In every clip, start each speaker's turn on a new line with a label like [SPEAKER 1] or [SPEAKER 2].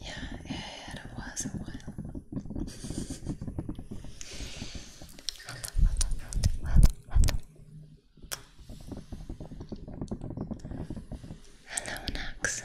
[SPEAKER 1] yeah, it was a while. Hello, Nax.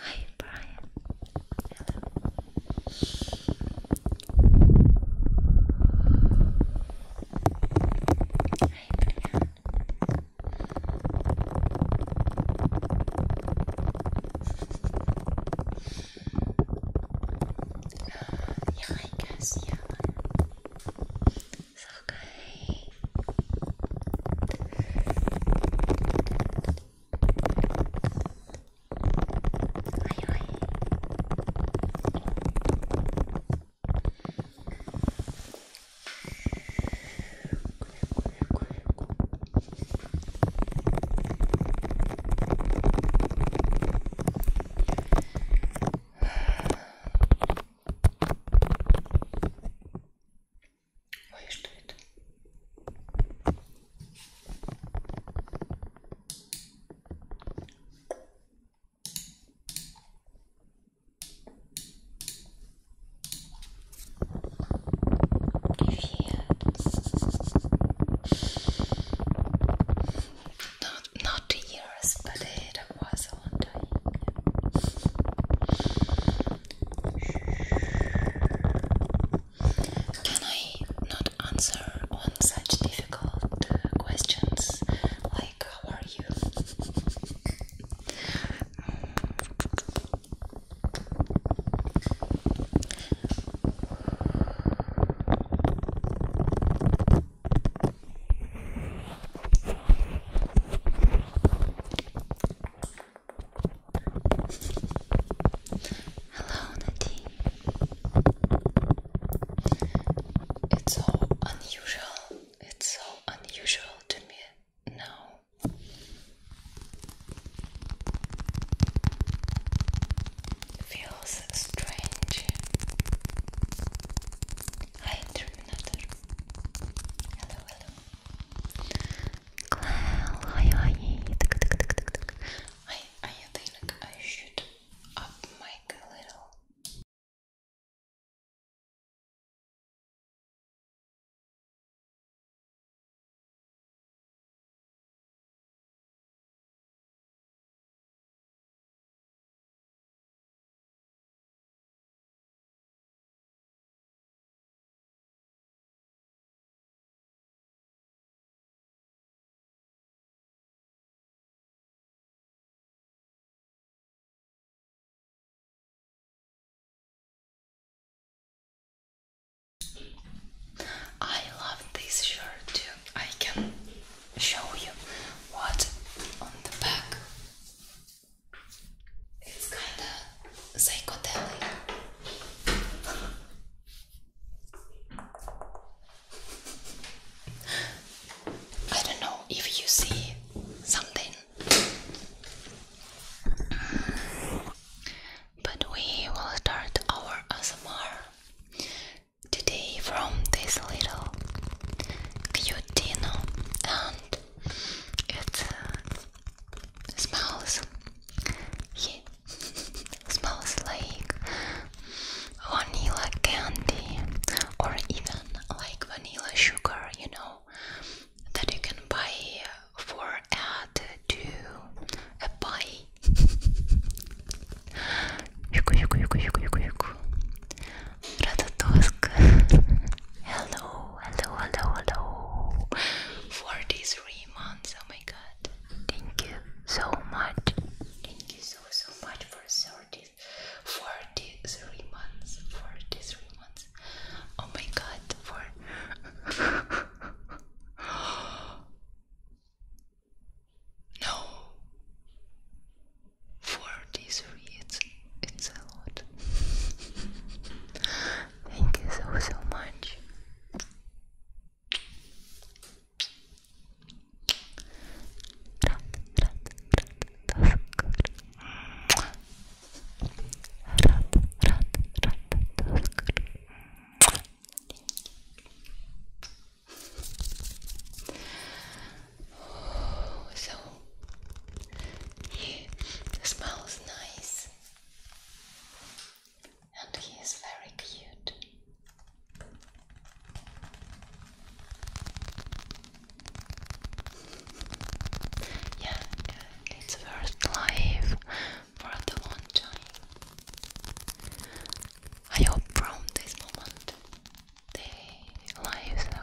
[SPEAKER 1] Hi, Brian. yeah, I guess, yeah. It's okay. Hi, hi. Ой, что это? Привет. Not, not here raspadera was on Can I not answer on such difficult uh, questions like how are you? Hello, Nadine. It's so unusual. It's so unusual to me now. It feels strange. Hi, Terminator. Hello. I, think I should up mic a little. I love this shirt too. I can show you what on the back. It's kinda psychedelic. I don't know if you see something, but we will start our ASMR today from this little cute Dino and it uh, smells. Yeah. smells like vanilla candy or even like vanilla sugar, you know, that you can buy for add to a pie. Ratatusk. hello, hello, hello, hello. Forty-three months. Oh my god. Thank you so much. Thank you so so much for 30, 43 months. Forty-three months. Oh my god. For no. Forty-three. It's it's a lot. Thank you so so much. So he smells nice and he is very cute. Yeah, it's first live for the long time. I hope from this moment the lives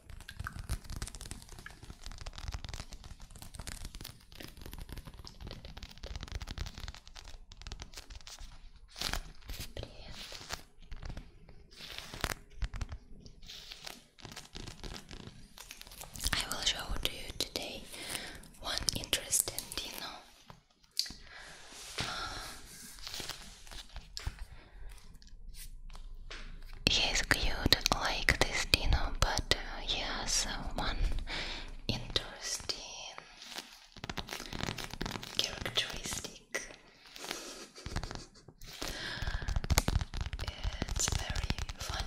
[SPEAKER 1] Привет. I will show to you today one interesting dino. Uh, He's cute like this Dino, but uh, he has uh, one interesting characteristic. It's very funny.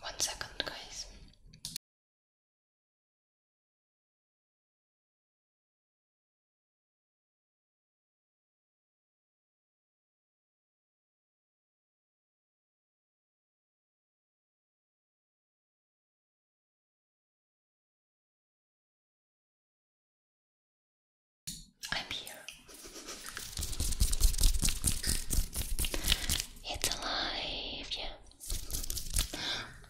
[SPEAKER 1] One second, guys. I'm here. It's alive, yeah.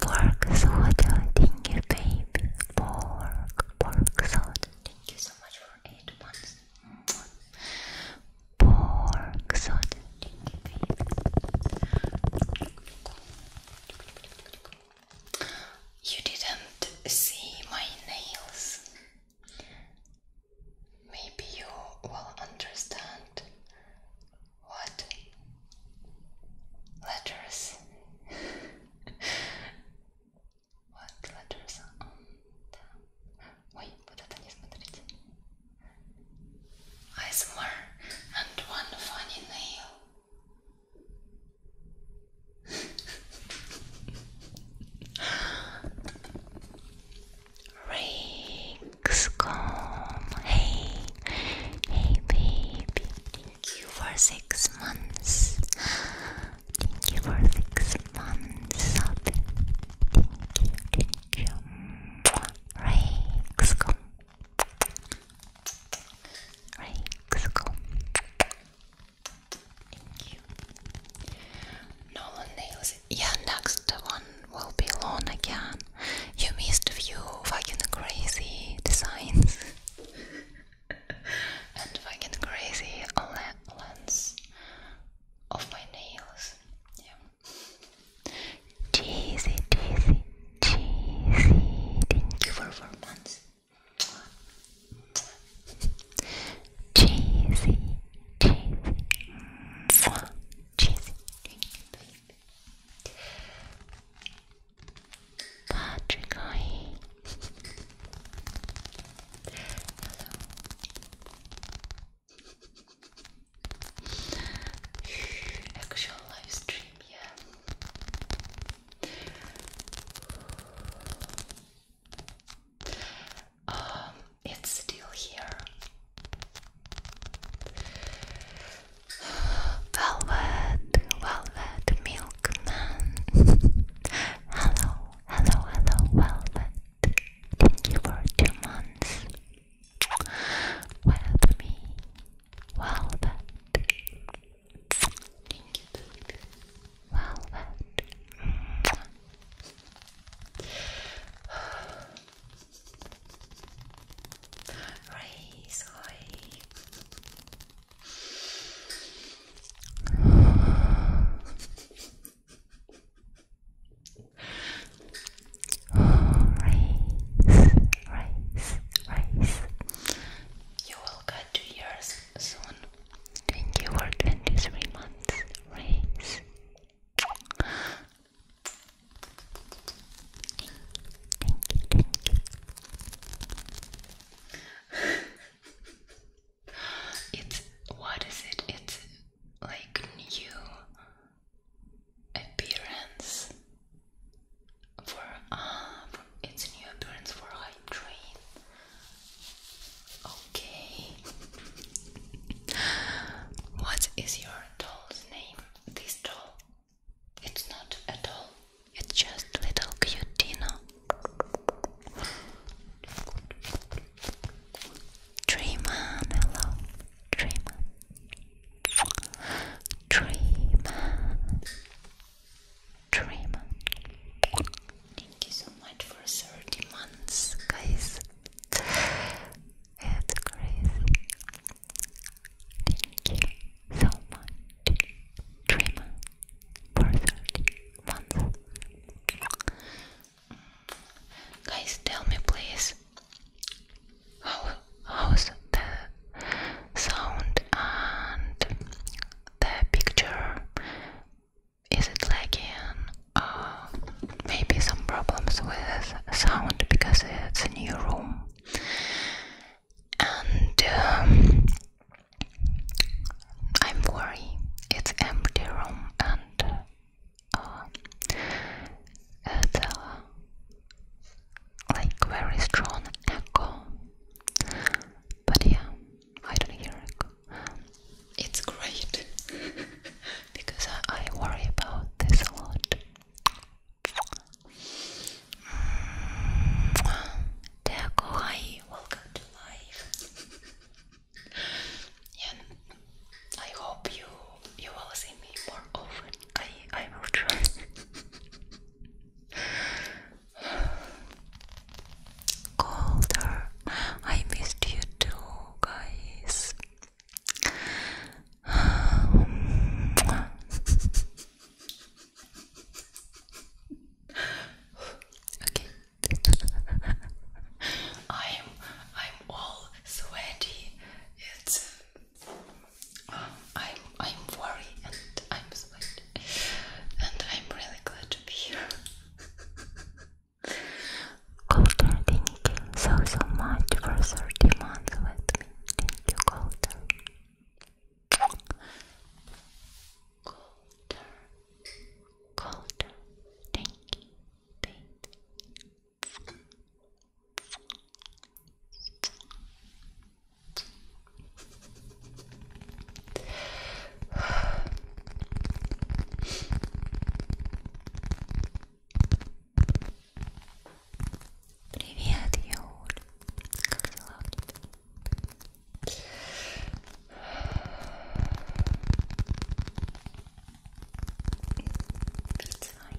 [SPEAKER 1] Pork soda, thank you, baby. Pork, pork soda. Thank you so much for eight months. Pork soda, You didn't see my nails. Maybe you will understand what letters what letters on the Ой, вот это не смотрите. ASMR and one funny nail. Rings Hey, hey, baby. Thank you for six months. Thank you for six months. Thank you, thank you. Rings come. Thank you. Nolan Nails yeah, next one will be Lon again. You missed a few fucking crazy designs and fucking crazy lens of my nails. Yeah. Cheesy, cheesy, cheesy. Thank you for four months cheesy, cheesy, cheesy. Patrick, hello. Actual live stream, yeah. Um, it's still here. Velvet, Velvet, Milkman. hello, hello, hello, Velvet. Thank you for two months with me, Velvet. Thank you, Velvet. Raise raise, raise, You will get two years soon. Twenty or twenty-three months. Raise, it's what is it? It's like new appearance for ah, uh, it's new appearance for hype train. Okay. What is your doll's name? This doll? It's not a doll. It's just little cutino. Dreaman, hello. Dreaman. Dreaman. Dreaman. Thank you so much for 30 months, guys. It's crazy. Thank you so much, Dreamer, for 30 months. Guys, tell me please how how's the sound and the picture? Is it lagging uh, maybe some problems with sound because it's a new room and um, I'm worried it's empty room and uh, uh, like very strong echo but yeah I don't hear it's great because I, I worry about this a lot. Dear mm. welcome to life. yeah, I hope you you will see me more often. I I will try. Colder, I missed you too, guys okay. I'm I'm all sweaty. It's um, I'm I'm worried and I'm sweaty and I'm really glad to be here. Colter, thank you so so much for 30 months with me. Thank you, Colter. Colter, Colter, thank you, Привет, Юль. Как дела у тебя? Прицай.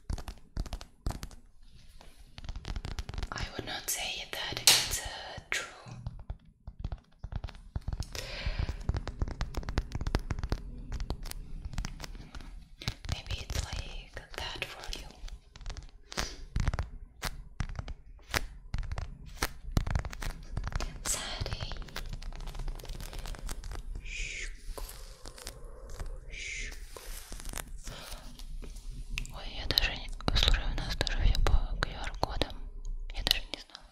[SPEAKER 1] I would not say that it's uh, true. Maybe it's like that for you. Sadie. Ой, я даже не... Слушай, у нас даже все по QR-кодам. Я даже не знала.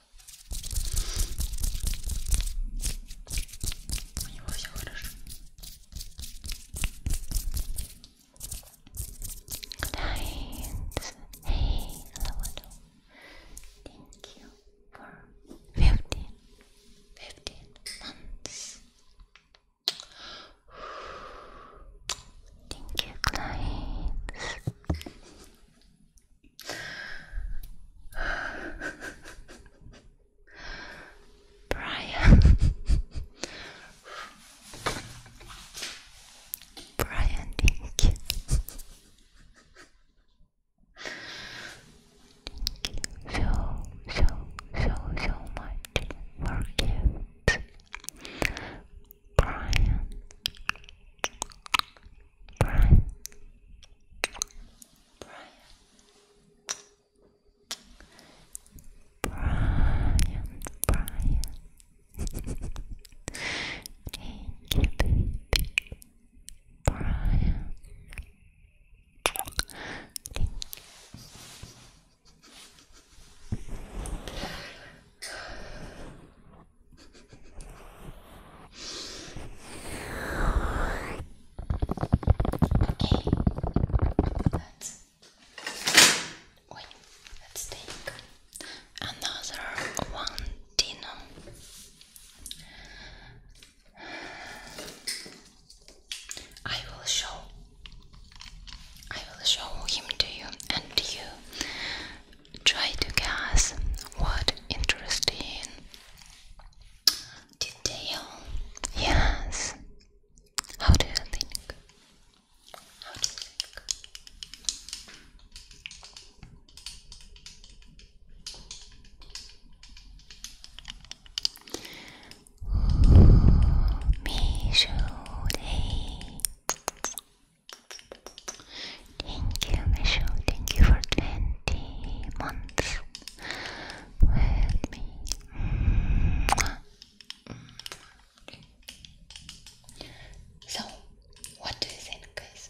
[SPEAKER 1] У него все хорошо. Good night. Hey, hello, hello. Thank you. for 15, 15 months. Thank Brian. Brian, thank so, so, so, so much for gifts, Brian. Brian. Brian. Brian, Brian. Thank you, Brian, Okay, let's wait, let's take another one dinner. I will show I will show him to you and you try to guess what interesting detail yes how do you think Michelle. Thank you, Michelle. Thank you for 20 months with me. So, what do you think, guys?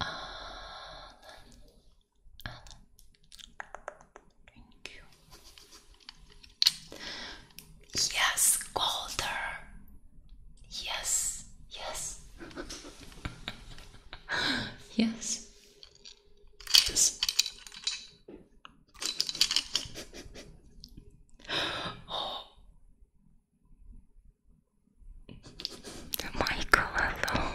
[SPEAKER 1] Alan, Alan, thank you. Yes, colder. Yes, yes, yes, yes. Oh, Michael, hello.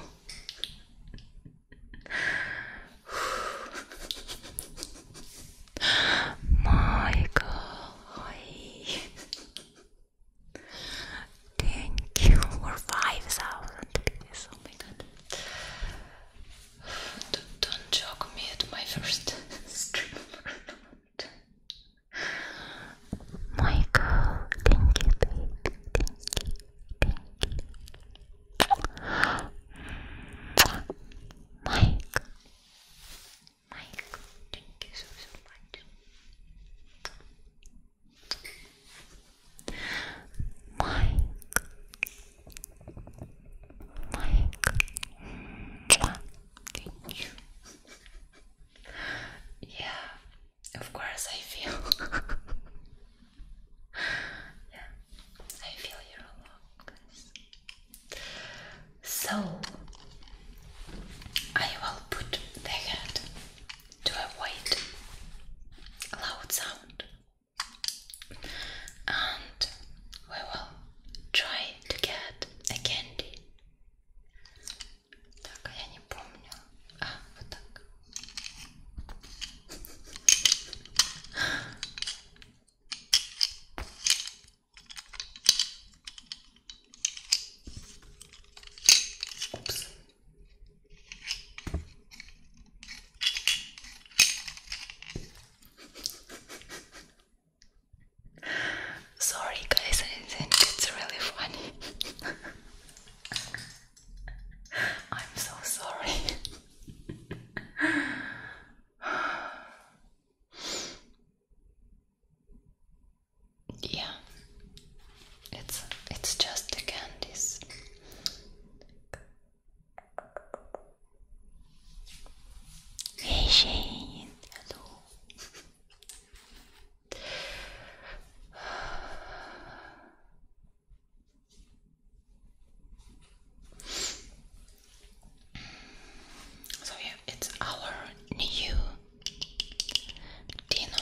[SPEAKER 1] Michael, hi. Thank you for 5,000. Yes, oh my god. Don't, don't joke me at my first stream heart. thank you, Thank you, thank you. Michael, Michael, thank you so, much. Mike, Mike, Thank you. yeah, of course I feel. yeah, I feel you're alone, So I will put the head to avoid loud sound, and we will try to get a candy. Так, а я не помню. А, вот так. Упс. Sorry, guys, I think it's really funny. I'm so sorry. yeah, it's it's just the candies. Hey Shane, hello. So yeah, it's our new dinner.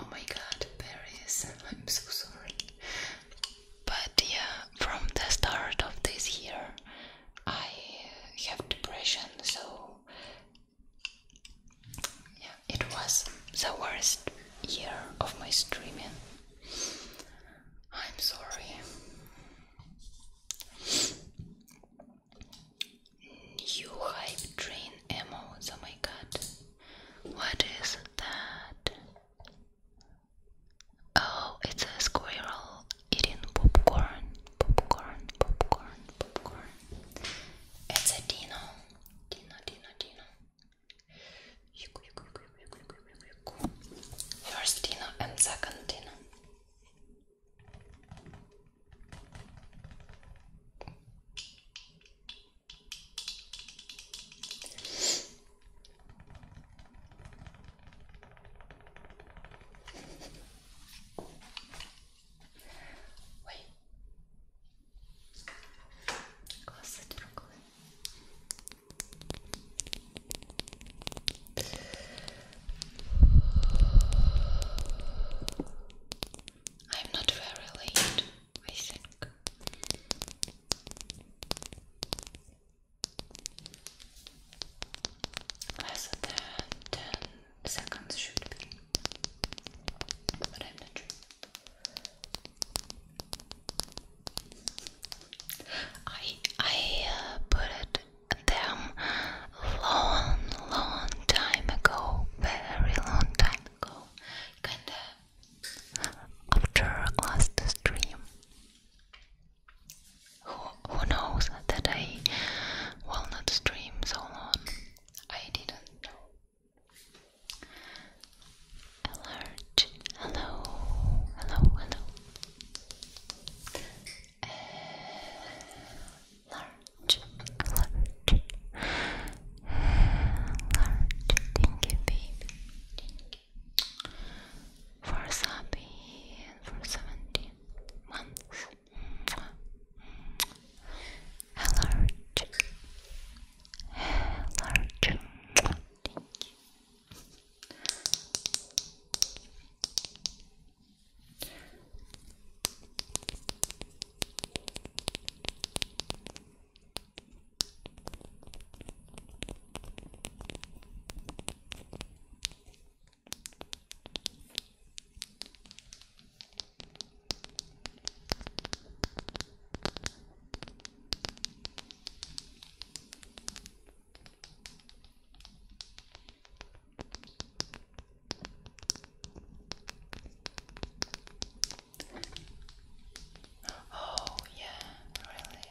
[SPEAKER 1] Oh my god, Paris, I'm so sorry. But yeah, from the start of this year, I have depression, so yeah, it was the worst year of my streaming. I'm sorry. You hype train ammo, oh my god. What is that? Oh, it's a squirrel eating popcorn, popcorn, popcorn, popcorn. It's a Dino, Dino, Dino, Dino. First Dino and second Dino. Ой. i I'm not very late, I think. Less than ten seconds should be, i I I uh, put long, long time ago, very long time ago, kinda after last stream. Who, who knows that I will not stream so long? I didn't know. Alert. Hello. Hello. Hello. Alert. Alert. Alert. Thank you, baby. For Sabi and for 17 months. Allergic. Allergic. Thank you. Oh, yeah, really.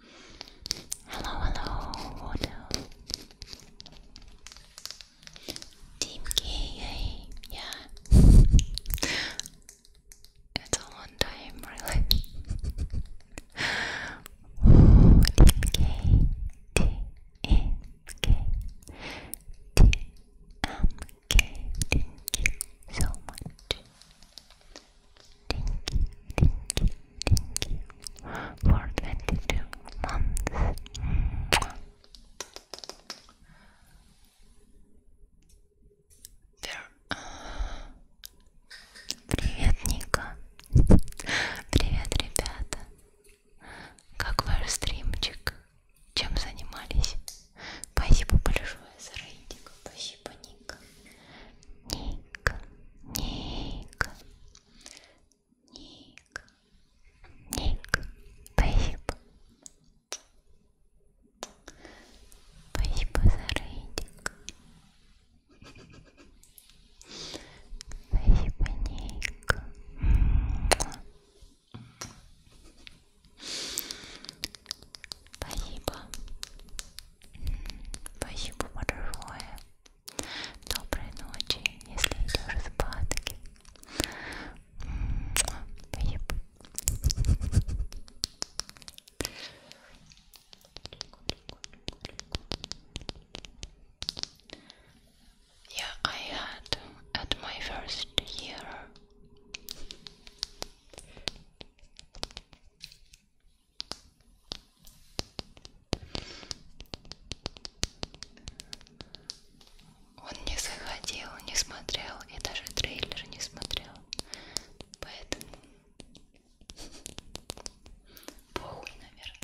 [SPEAKER 1] Hello, hello, Team K, yeah. it's a long time, really. Ooh, Team K, T, M, K, T, M, K. Thank you so much. Thank you, деньги for 22 months. Uh, привет, Ника. Привет, ребята. Как ваш стримчик? Чем занимались? Спасибо большое за рейтинг. Спасибо, Ника. Ника, Ника. Ник, Ник, спасибо. Спасибо за рейтинг. Спасибо, Ник. Спасибо. Спасибо большое. Доброй ночи, если идешь спать. Yeah, I had at my first year. Он не заходил, не смотрел и даже трейлер не смотрел. Поэтому похуй, наверное.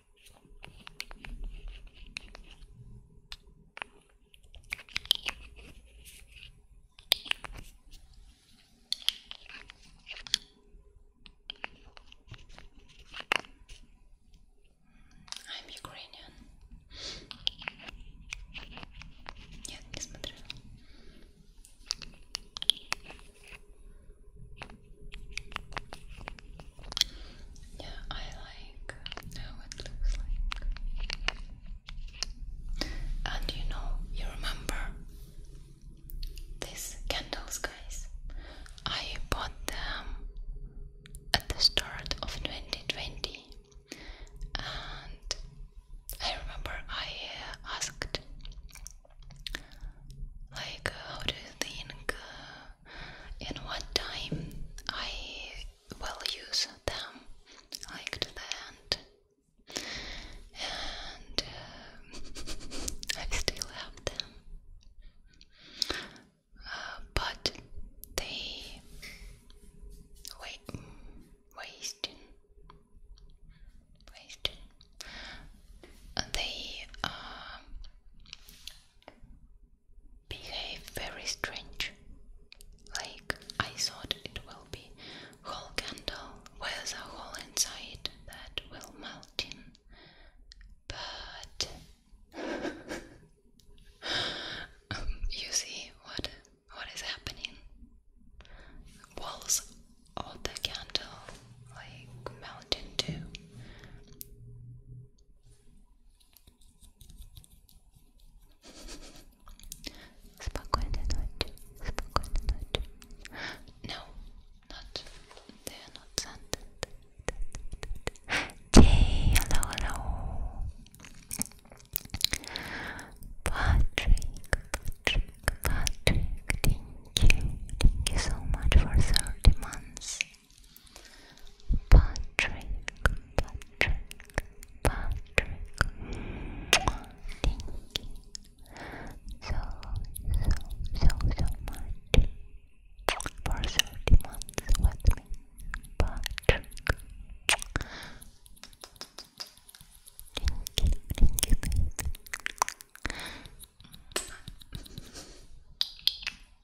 [SPEAKER 1] I'm Ukrainian. Нет, не смотрела. Yeah, I like how it looks like. And you know, you remember these candles, guys? I bought them at the start of 2020, and I remember I asked, like, how do you think uh, in what time I will use them, like to the end. And uh, I still have them. Uh, but they wait, wasting, wasting. They uh, behave very strange. Like I thought it will be whole candle with a hole inside that will melt in. But um, you see what what is happening? Walls of the candle like melt into Спокойной ночи, спокойной ночи. No, not, they are not scented. Day, hello, hello. Patrick, Patrick, Patrick, thank you, thank you so much for 30 months. Patrick, Patrick, Patrick. Thank you so, so, so, so much for 30 months with me, Patrick. Thank you, thank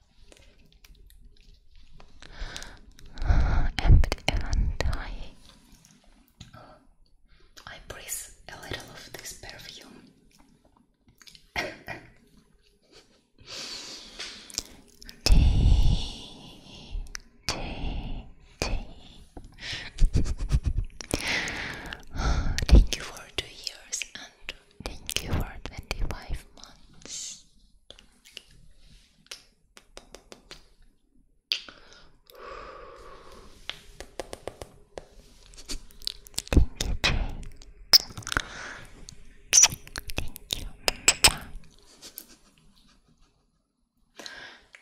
[SPEAKER 1] and and I breathe a little of this perfume. tea, tea, tea. thank you for two years and thank you for twenty-five months. Thank you,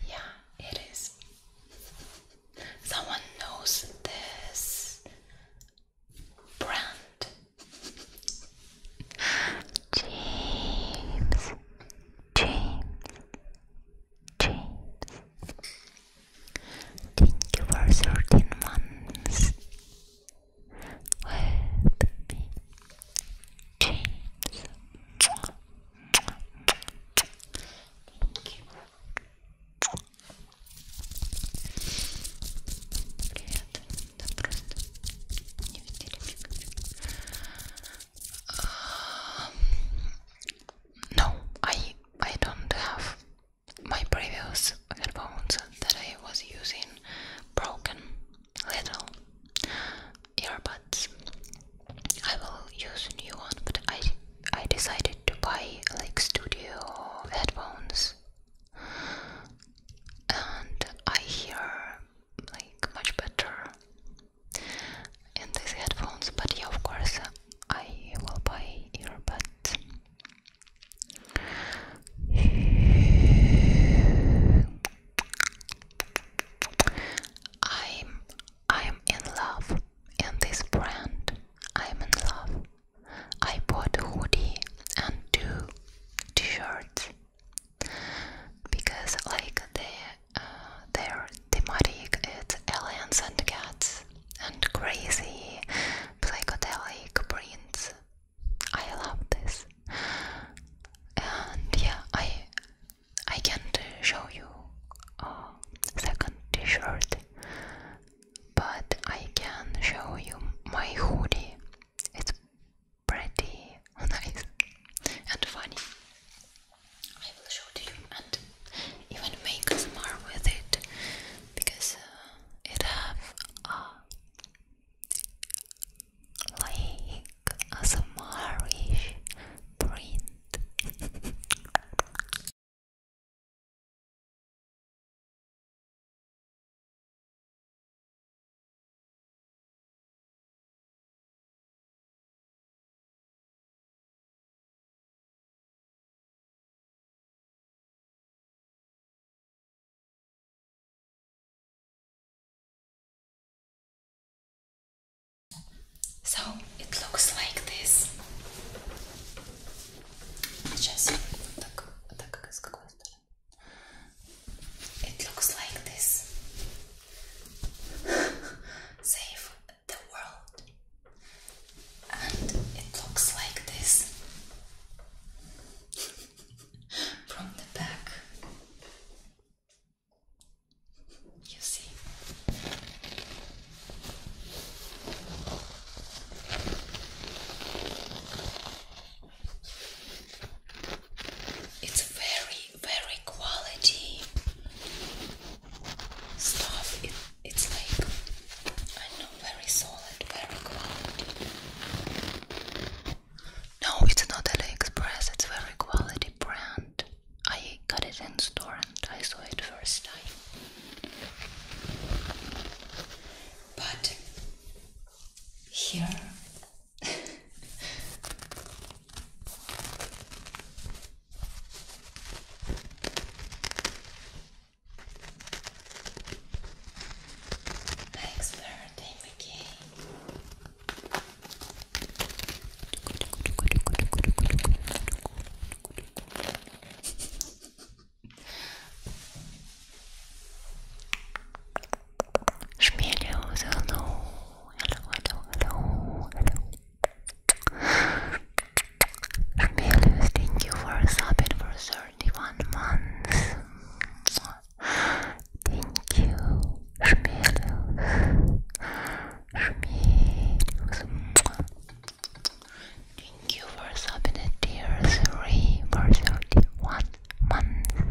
[SPEAKER 1] Yeah, it is. Someone knows this. Brand James James James Thank you for 13 months with me James no, I I don't have my previous headphones that I was using broken little earbuds. I will use a new one, but I I decided to buy like studio headphones and I hear like much better in these headphones. But yeah, of course, I will buy earbuds. I'm I'm in love in this brand. I'm in love. I bought a hoodie and two t shirt because like the, uh, their thematic is aliens and cats and crazy psychedelic prints. I love this. And yeah, I I can't show you a second t-shirt, but I can show you my hoodie. It's pretty, nice, and funny. I will show to you and even make ASMR with it because uh, it have a like ASMR-ish print. So it looks like this. Сейчас вот так, вот так как с какой стороны? It looks like this. Save the world. And it looks like this from the back. You see. It's very, very quality stuff. it's like, I know, very solid, very quality. No, it's not AliExpress, it's very quality brand. I got it in store and I saw it first time. But here Thanks for everything, Mickey. Schmelios, hello, hello, hello, hello, thank you for subbing for 31 months. Thank you, Schmelios. Schmelios. Thank you for subbing at tier 3 for 31 months.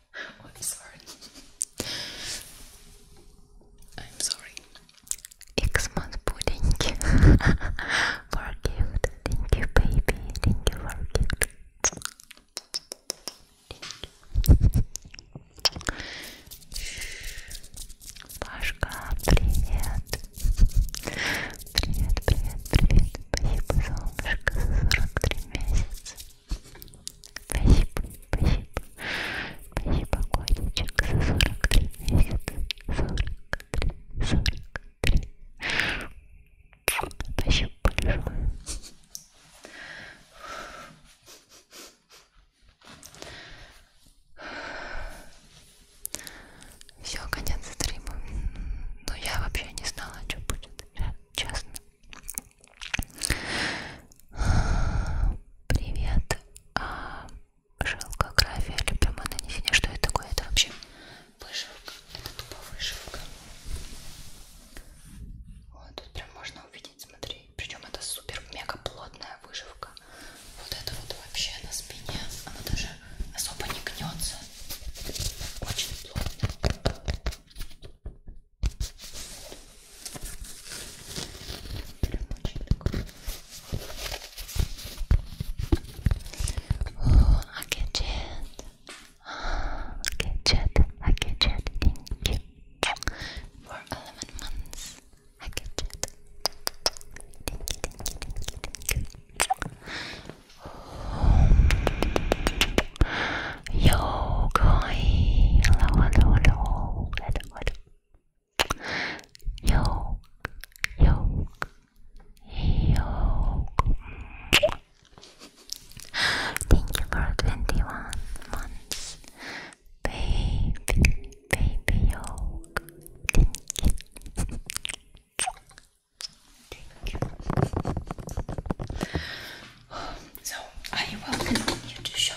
[SPEAKER 1] I'm sorry. Xmas pudding for Thank you, baby. Thank you for gift. Thank you. привет. Привет, привет, привет. Спасибо, солнышко, за 43 месяца. Спасибо, спасибо. Спасибо, котичек, за 43 месяца. 43, 43. Спасибо большое. Все, конец стрима. Но ну, я вообще не знала, что будет, честно. Привет. А, шелкография или прямое нанесение. Что это такое? Это вообще вышивка. Это тупо вышивка. Вот тут прям можно увидеть, смотри. Причем это супер мега плотная вышивка. Вот это вот вообще на спине. Она даже особо не гнется. Очень плотно. Oh, a gadget. Oh, gadget, a gadget, thank you. For 11 months, a gadget. Thank you, thank you, thank you, thank you. Oh. Yo, Koi. Hello, hello, word. Yoke, yoke, Thank you for 21 months. Baby, baby yoke. Thank you. So I will continue to show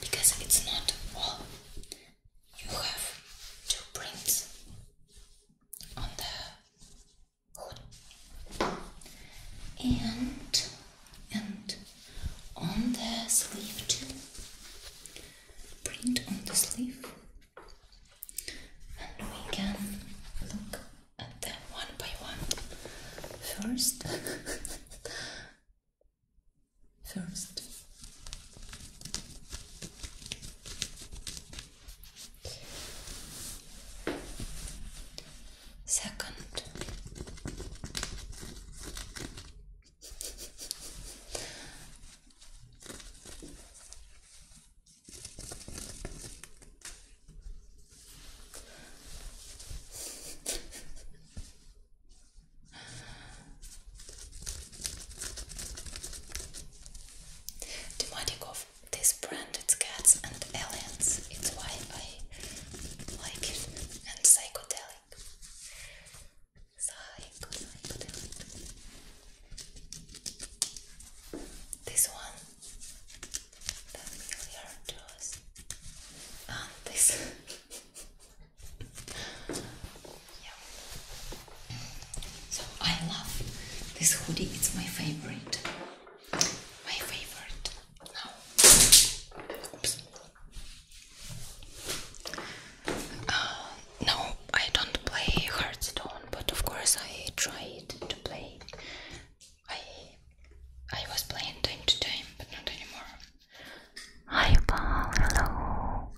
[SPEAKER 1] because it's not all. You have to print on the hood and and on the sleeve too. Print on the sleeve, and we can look and then one by one. First, first. Second, Thematic of this brand, cats and aliens. It's why I like it. And psychedelic. psychedelic. This one that really hurt us. Ah, this. yeah. So I love this hoodie. It's my favorite. My favorite. Uh, no, I don't play Hearthstone, but of course I tried to play I I was playing time to time, but not anymore. Hi Paul, hello,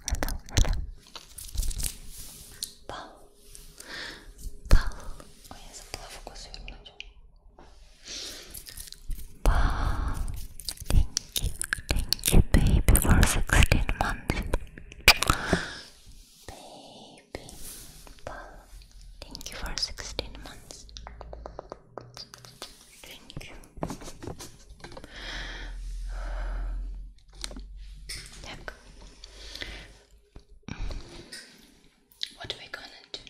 [SPEAKER 1] hello, hello. Paul, Paul. Ой, я забыла фокус вернуть. Paul, thank you, thank you, baby, for sixteen months. Baby, baby thank you for 16 months thank you так what we gonna do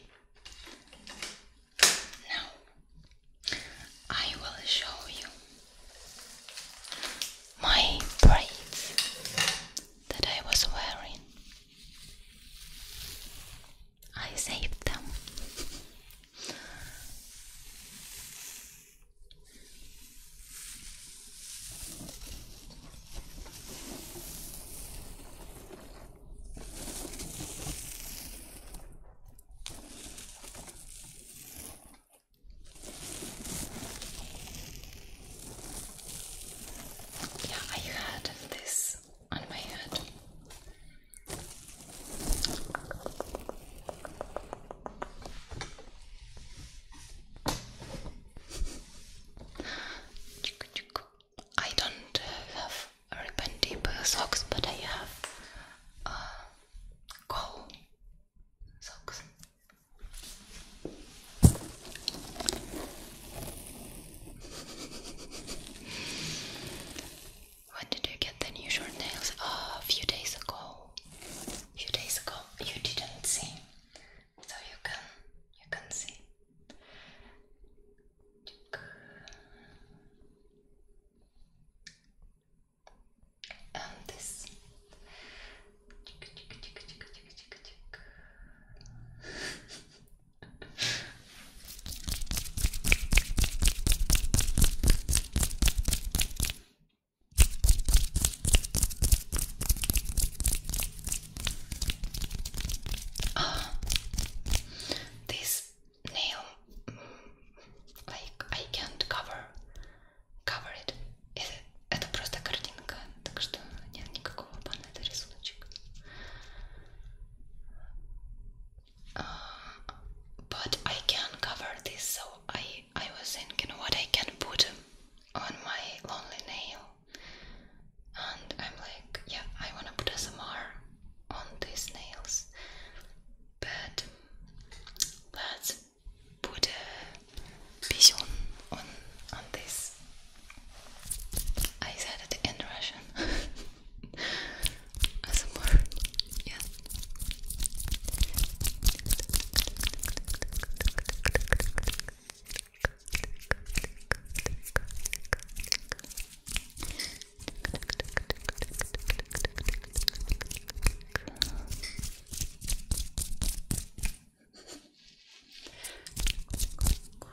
[SPEAKER 1] now I will show you my braids that I was wearing I saved them. Yeah, I heard this on my head. I don't have ribbon deep socks, but I have uh, socks when did you get the new short nails? Oh, a few days ago. A few days ago, you didn't see, so you can you can see. And this oh, this nail, like I can't cover, cover it. Это, это просто картинка, так что нет никакого бана, это рисуночек but I can cover this, so I I was thinking what I can put on my lonely nail, and I'm like, yeah, I wanna put SMR on these nails, but let's put a pigeon on on this I said it in Russian as a word,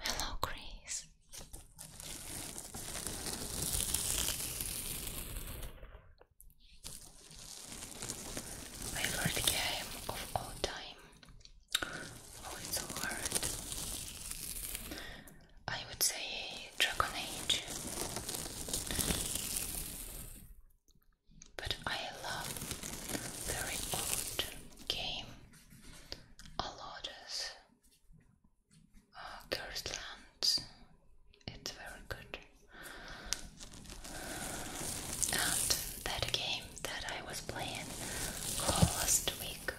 [SPEAKER 1] Hello, Chris. favorite game of all time. Oh, it's so hard. I would say Dragon Age but I love very old game a uh, lot It's very good. And that game that I was playing all last week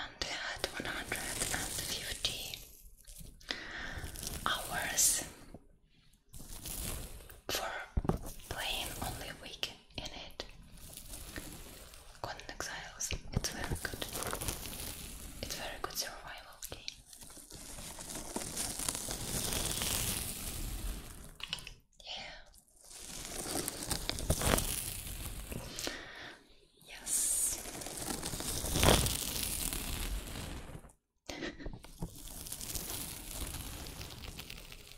[SPEAKER 1] and had 150 hours for playing only weekend in it. Golden Exiles, it's very good. It's very good survival game. Yeah. Yes.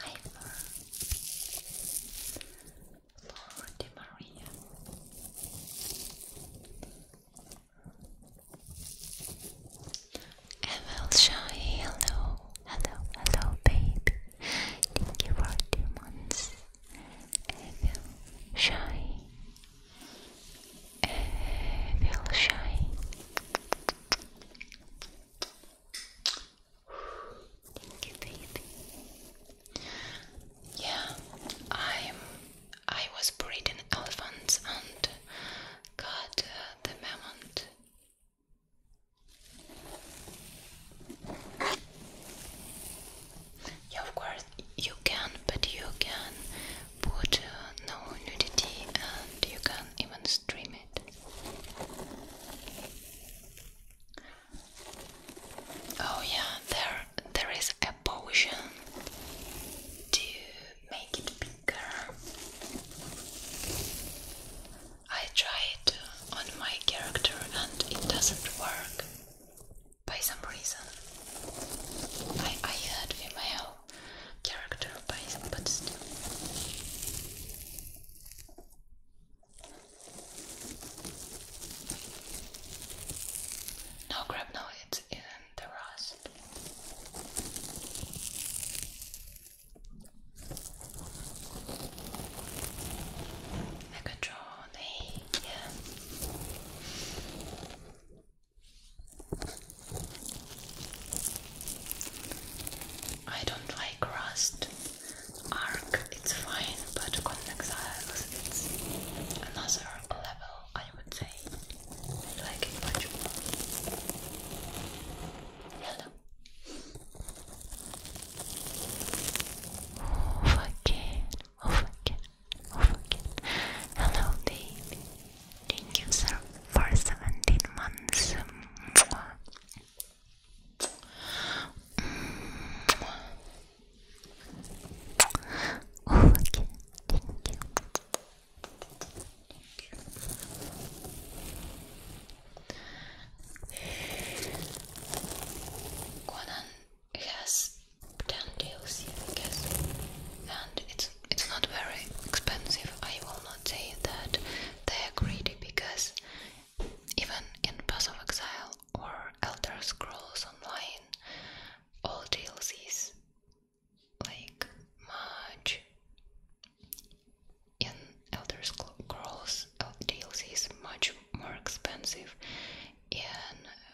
[SPEAKER 1] Hi, Laura. Laura Di Maria. hello, hello, hello, babe. Thank you for two months. Evelyn, feel shy. Yeah, I'm. I was breeding elephants and got uh, the mammoth. Yeah, of course you can, but you can put uh, no nudity and you can even stream it. Oh yeah, there there is a potion to make it bigger. I tried on my character and it doesn't work by some reason I I heard female character by but still no grab no it's in the rust Megatron, hey, yeah I don't like rust. Arc, it's fine, but convex arcs, another level, I would say. I like it much more. Hello. Forget over again, over again. Hello, baby. Thank you, sir, for 17 months. Mwah. Mwah. Over again. Thank you. Conan has 10 DLC, I guess. And it's it's not very expensive. I will not say that they are greedy because even in Pass of Exile or Elder Scrolls Online, all DLCs like much in Elder Scrolls uh, DLC is much more expensive in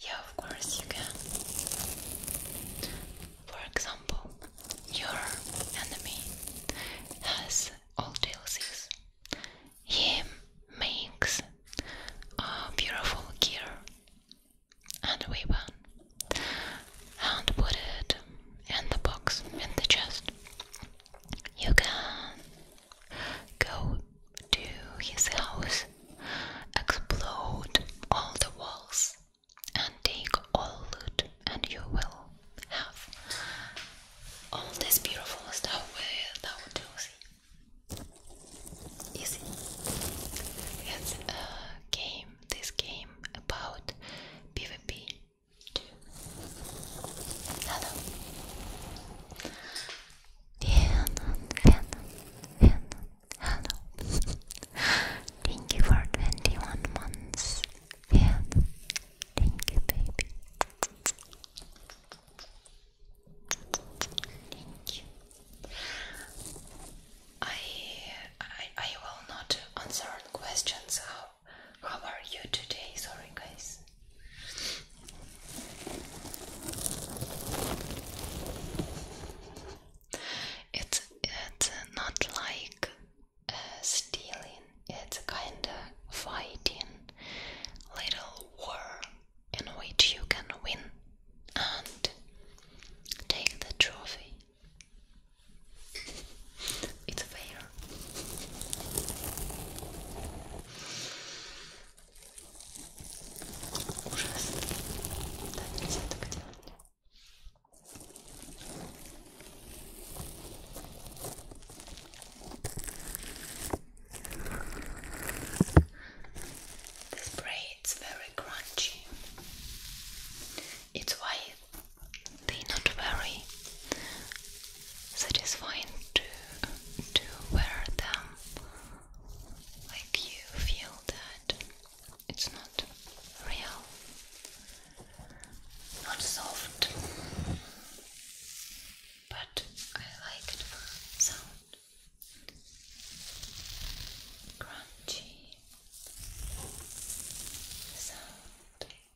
[SPEAKER 1] Yeah, of course you can. For example, your enemy has all DLCs. He makes a beautiful gear and we won and put it in the box in the chest. You can go to his house, explode all the walls, and take all loot, and you will have all this beautiful stuff without losing. Easy. It's a game, this game about PvP Hello. Diana, Diana, Diana, hello. Thank you for 21 months. Diana, thank you, baby. Thank you. I I I will not answer questions how are you today? Sorry, guys. It's it's not like uh, stealing. It's kind of fighting, little war in which you can win and take the trophy. It's fair. Ужасно. Да, нельзя very crunchy. It's white they are not very satisfying to to wear them. Like you feel that it's not real, not soft, but I like it sound. Crunchy sound.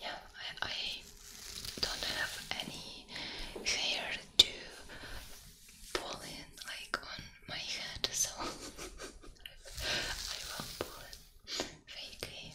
[SPEAKER 1] Yeah, I, don't have any hair to pull in like on my head, so I will pull fake hair.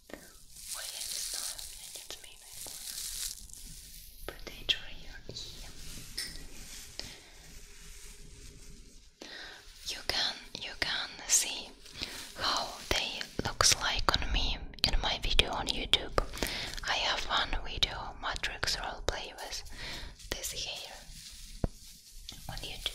[SPEAKER 1] You can you can see how they looks like on me in my video on YouTube. I have one video matrix roleplay with this hair on YouTube.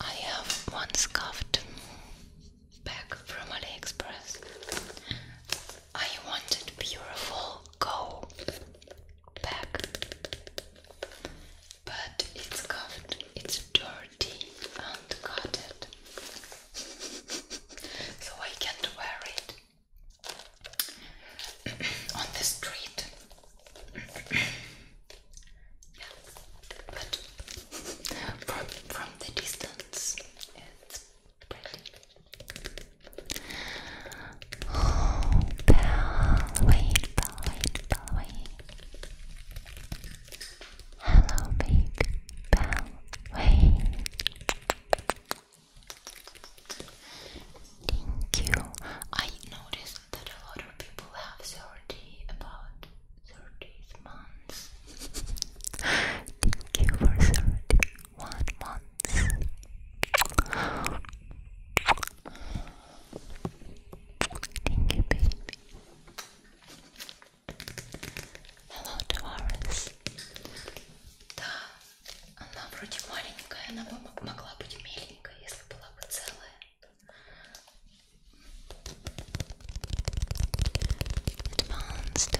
[SPEAKER 1] I have one scuffed bag from AliExpress. I wanted beautiful go bag, but it's scuffed, it's dirty and cut so I can't wear it. on the street. yeah, but from, from the distance, it's pretty. Oh, Bellway, Bellway, Bellway. Hello, baby. Bellway. Thank you. I noticed that a lot of people have 30 about 30 months. Thank you for 31 months. Thank you, baby. Hello, Tavares. Да, Она вроде маленькая, она бы могла быть меленькая, если была бы целая. Advanced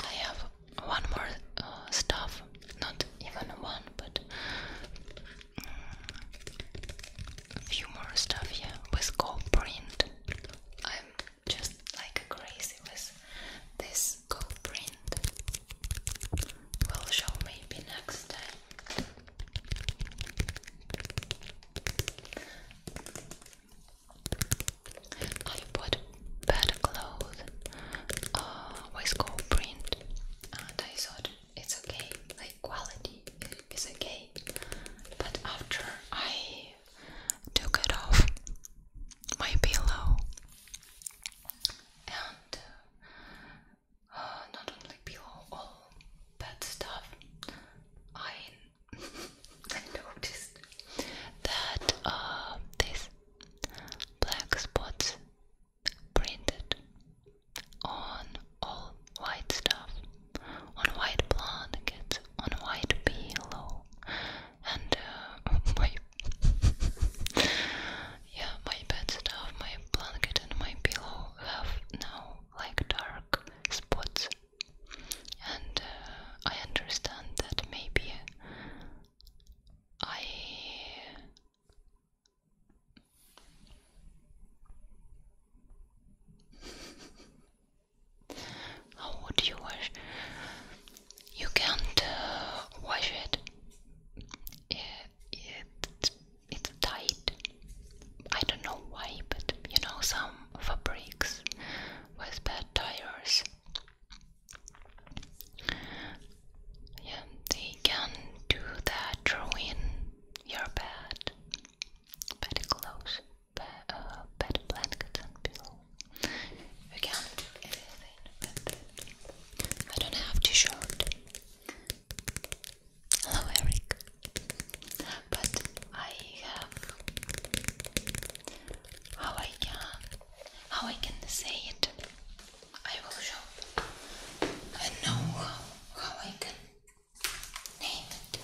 [SPEAKER 1] I have one more uh, stuff, not even one, but mm, few more stuff yeah, with gold print. I'm just like crazy with this gold print. We'll show maybe next time. I put better clothes uh, with gold print and I thought it's okay, like quality is okay. But after I took it off my pillow and uh, uh, not only pillow, all bad stuff, I, I noticed that uh, this black spots printed on all white stuff, on white blanket, on white pillow, and uh, my yeah, my bed stuff, my blanket and my pillow have now like dark spots, and uh, I understand that maybe I How would you wash? You can't uh, wash it. It, it. It's tight. I don't know why, but you know, some fabrics with bad tires yeah, they can do that drawing your bed, bed clothes, uh, bed, uh, and pillow. You can do anything with I don't have t-shirt. Hello, Eric. But I have how I can how I can say it I will show and know how, how I can name it.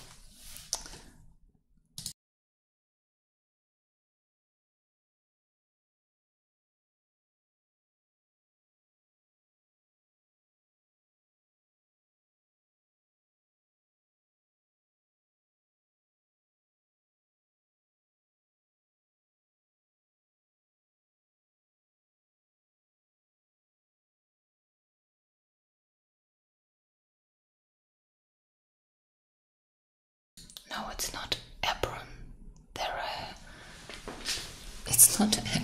[SPEAKER 1] No, it's not Abram. There It's not Abram.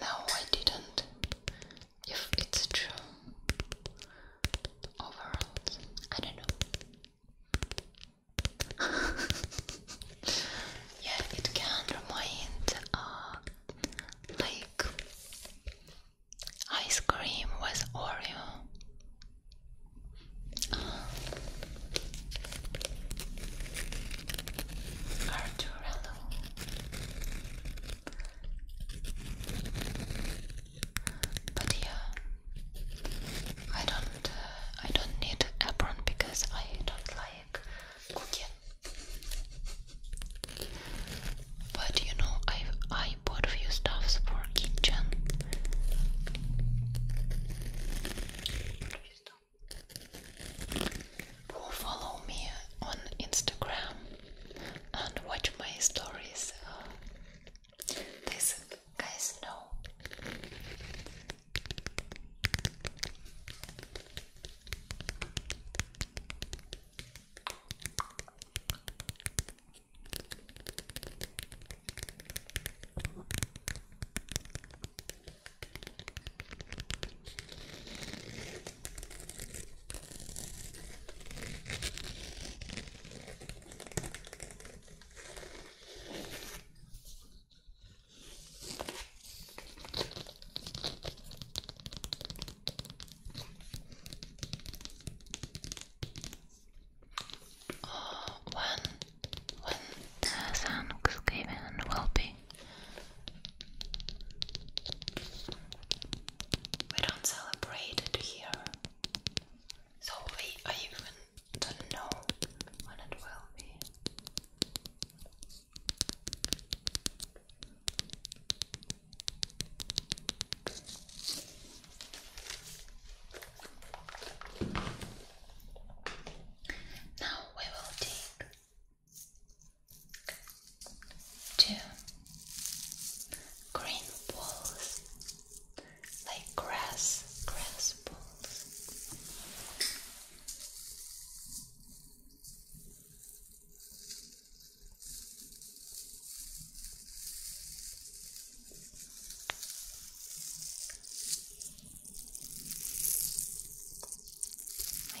[SPEAKER 1] No, I didn't. If it's true, overall, I don't know. yeah, it can remind uh, like ice cream with Oreo. Uh, Arturello. But yeah, I don't, uh, I don't need apron because I don't like cooking. But you know, I I bought a few stuffs for kitchen who follow me on Instagram and watch my stories. Uh, guys know. Oh, when when the uh, Thanksgiving will be we don't celebrate it here, so we, even don't know when it will be. Now we will take Two green balls, like grass, grass balls. My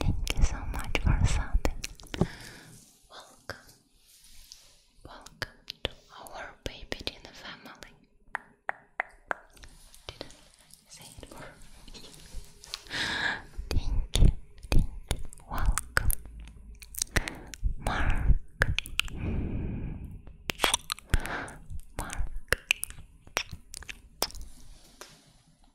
[SPEAKER 1] Thank you so much for subbing. Welcome. Welcome to our baby dinner family. say it for Thank Welcome. Mark. Mark.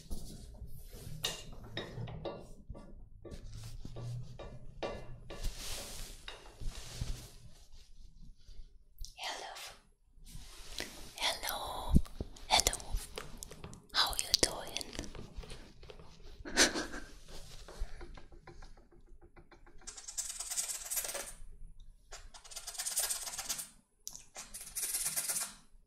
[SPEAKER 1] Hello, hello, hello. How are you doing?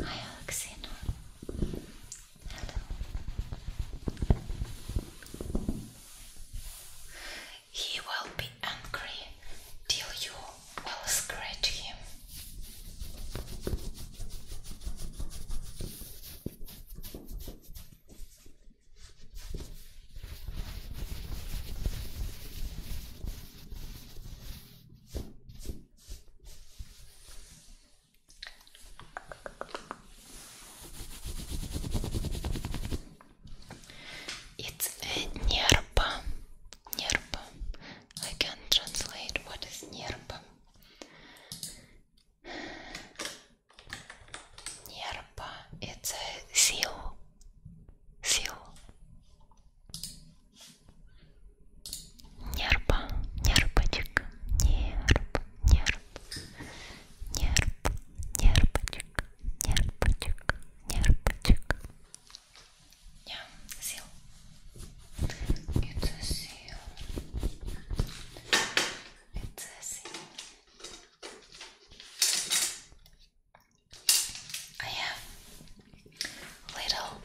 [SPEAKER 1] Hi Alexina. Hello. He will be angry till you will scratch him. It's a nerpa. I can translate what is nerpa. Nerpa. It's a seal. Seal. Нерпа, нерпочек, нерп, нерп, нерп, нерпочек, нерпочек, нерпочек. Yeah, seal. It's a seal. It's a seal. I have little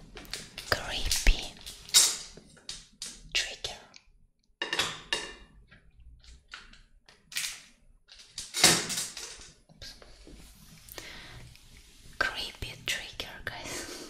[SPEAKER 1] creepy trigger. Creepy trigger, guys.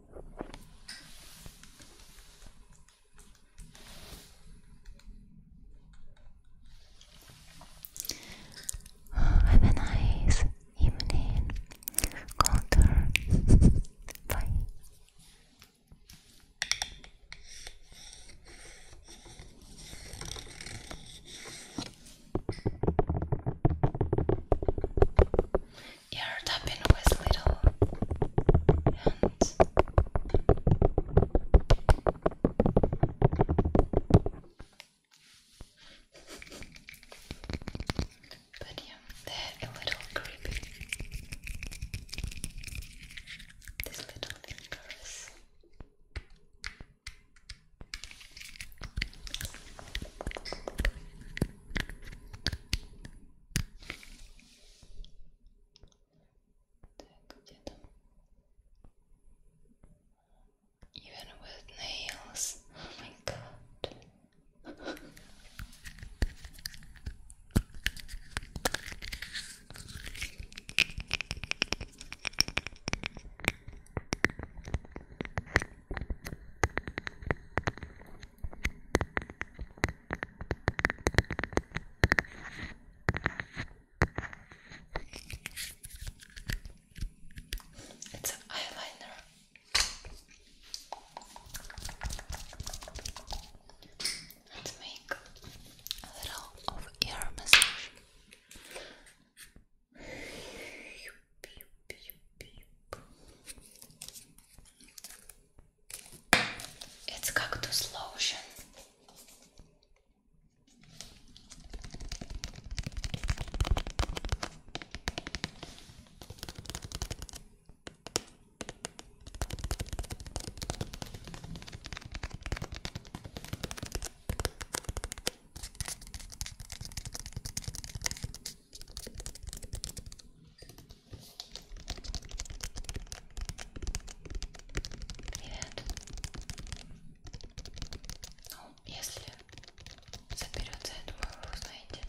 [SPEAKER 1] Have a nice evening, Coulter. Bye ear tapping with little hands. But yeah, they're a little creepy. These little fingers. Even with nails. Oh my god. It's an eyeliner. Let's make a little of ear massage. It's cactus lotion. Привет. Ну, если заберется, я думаю, вы узнаете.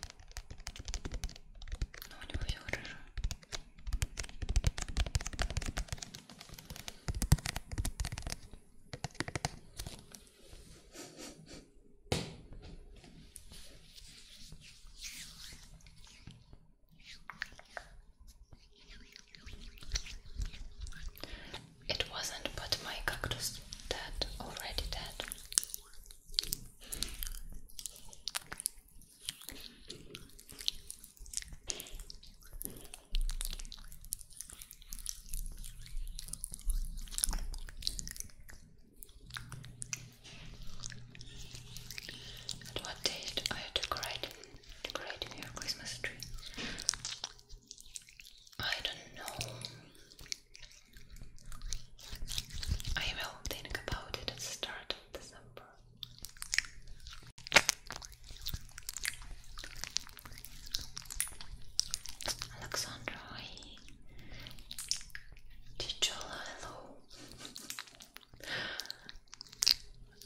[SPEAKER 1] Но ну, у него все хорошо. It wasn't, but my cactus that already dead. And what date are you decorating, your Christmas tree? I don't know. I will think about it at the start of December. Alexandra, hi. Tichola, hello.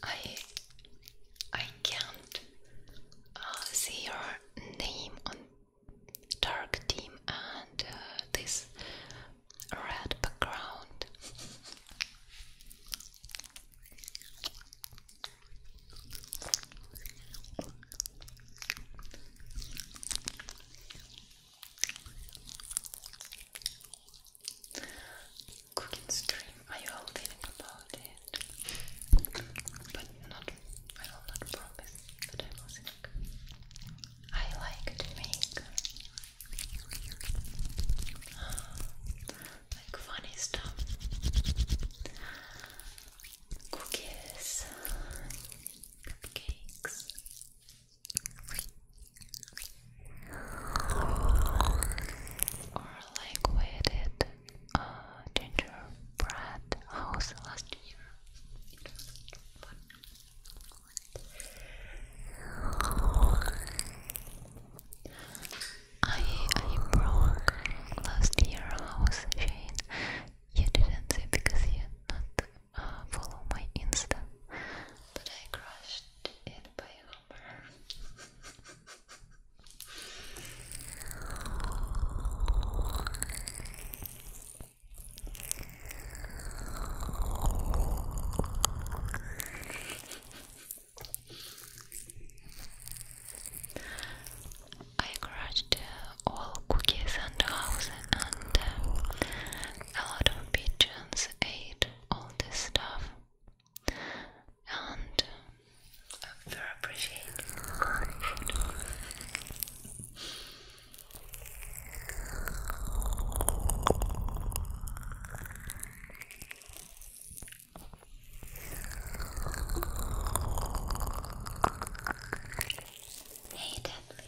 [SPEAKER 1] I I can't uh, see your name on dark team and uh, this red background. Cooking stream, I will think about it. But not, I will not promise that I will think. I like to make like funny stuff. Cookies, cupcakes, or like uh, gingerbread house last year. I I broke last year house Shane. You didn't see because you're follow my Insta, I crushed all cookies in the house and uh, a lot of pigeons ate all this stuff and um, I very appreciate Hey, Deadly.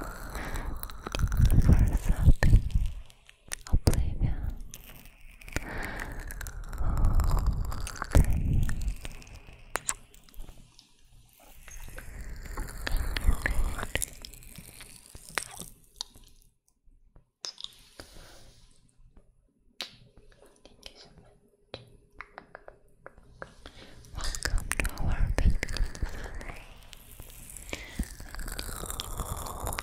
[SPEAKER 1] or something. Oblivion. Okay. Thank you so much. Welcome to our big family. Welcome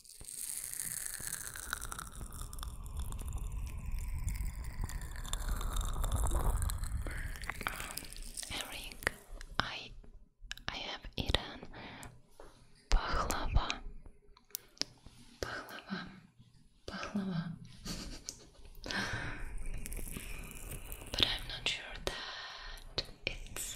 [SPEAKER 1] Herring. Um, I I have eaten baklava. Baklava. Baklava. but I'm not sure that it's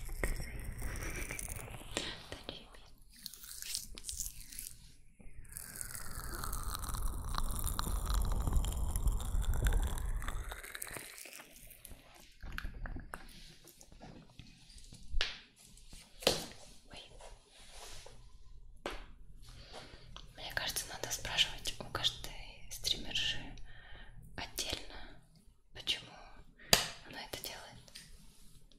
[SPEAKER 1] Мне кажется, надо спрашивать у каждой стримерши отдельно, почему она это делает.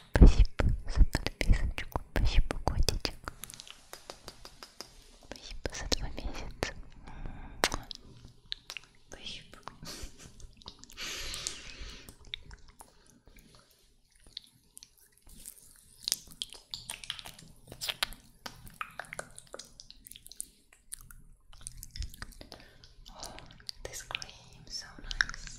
[SPEAKER 1] Спасибо за подписочку. Спасибо, котичек. Спасибо за два месяца. Спасибо. Oh, this cream so nice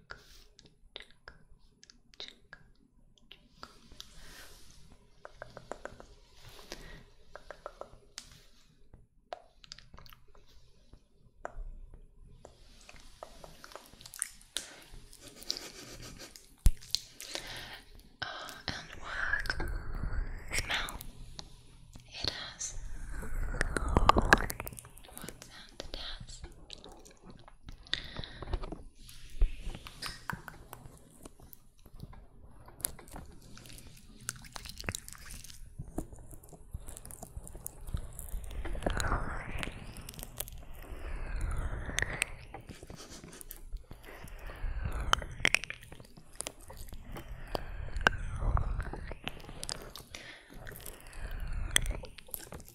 [SPEAKER 1] Jacob, Jacob, Jacob, Jacob. oh, and what smell it has? What's that? the desk.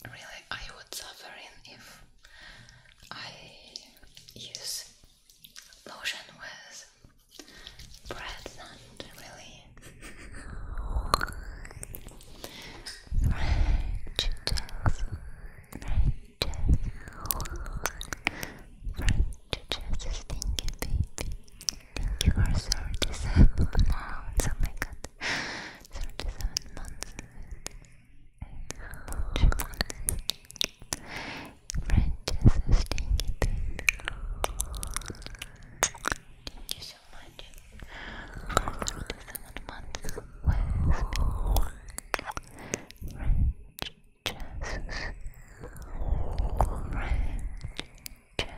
[SPEAKER 1] Really, I would suffer in if I use lotion with breath and really French jazz French jazz French jazz is thinking baby Thank you for 37 pounds, oh my god Seventy-seven months. Branches are stinky Thank you so much for seventy-seven months. Branches. Branches. Jesus.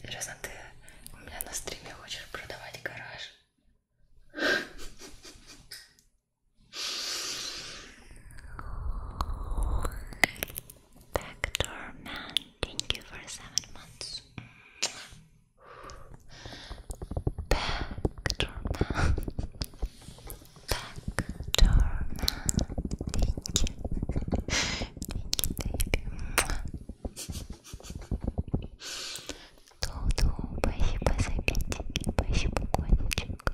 [SPEAKER 1] Серьезно, ты у меня на стриме хочешь продавать гараж? Backdoor man, thank you for seven months. Back doorman. Back doorman. Thank you. Thank you, baby. Туду, спасибо за пятики, спасибо, котичек.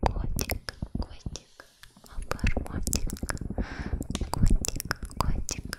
[SPEAKER 1] Котик, котик, обормотик. Котик, котик.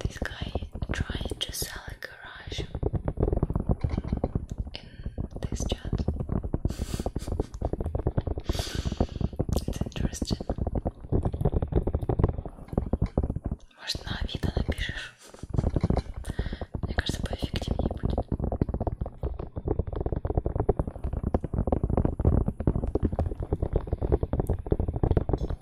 [SPEAKER 1] this guy trying to sell a garage in this chat. it's interesting. Может, на Авито напишешь? Мне кажется, поэффективнее будет.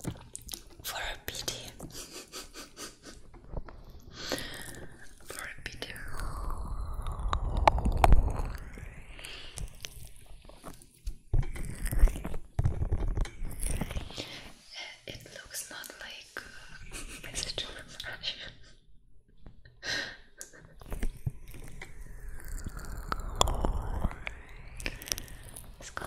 [SPEAKER 1] for a pity. for a pity. It looks not like uh, a message from Let's go.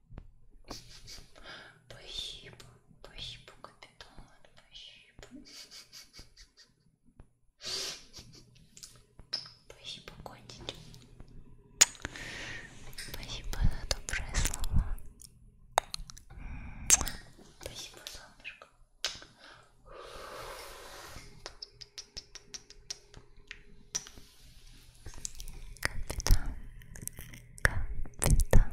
[SPEAKER 1] Спасибо, спасибо, капитан, спасибо. Спасибо, котики. Спасибо за добрые слова. Спасибо, солнышко. Капитан, капитан,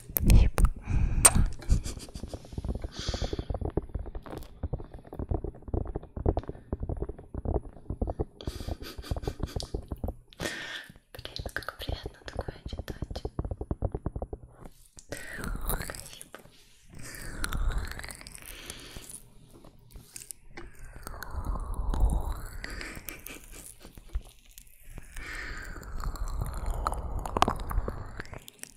[SPEAKER 1] Фип. Блин, как приятно такое читать. Фип.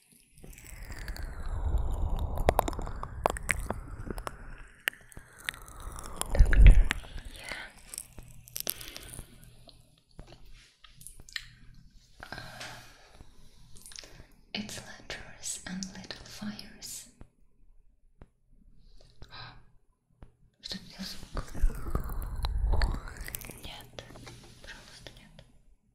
[SPEAKER 1] Doctor, it's letters and little fires. Что это делал звук? Нет, пожалуйста,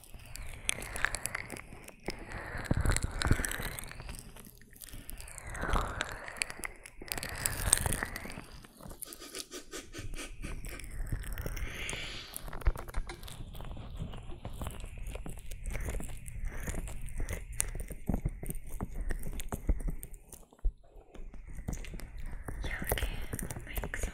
[SPEAKER 1] Yeah, okay, we'll make some sounds.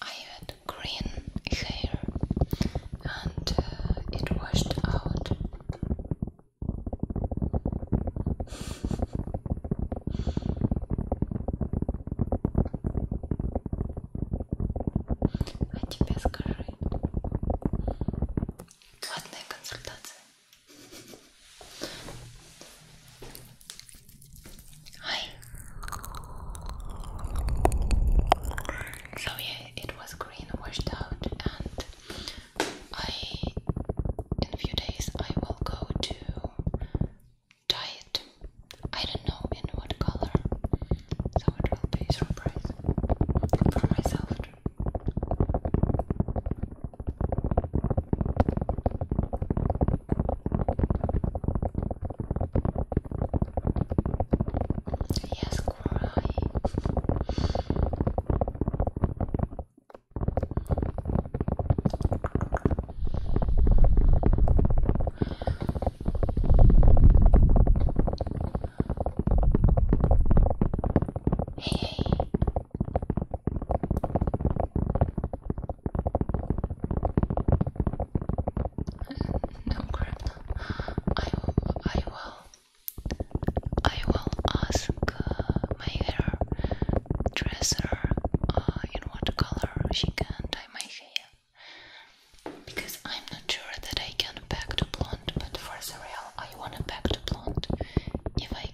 [SPEAKER 1] I had green hair and it washed out. А тебе скажи. Платная консультация. So yeah, it was green washed out, and I, in a few days, I will go to dye it. I don't know in what color, so it will be a surprise for myself. Yes, cry. Hey, hey, no crap. I will. I will. I will ask uh, my hair dresser uh, in what color she can dye my hair because I'm not sure that I can back to blonde, but for the I wanna back to blonde. If I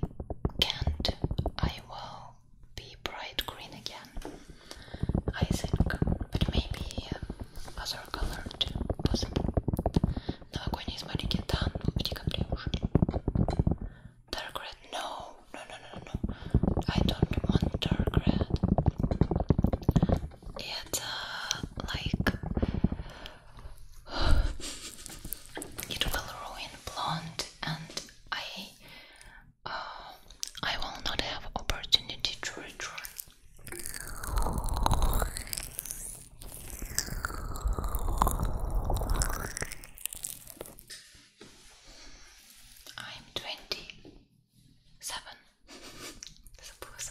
[SPEAKER 1] can't, I sky will be bright green again, I think, but maybe um, other color too, possible. Новогодние смайлики, да, ну в декабре уже. Dark red, no, no, no, no, no, I don't want dark red. It's uh, like it will ruin blonde and I uh, I will not have opportunity to return. I'm twenty seven. Suppose.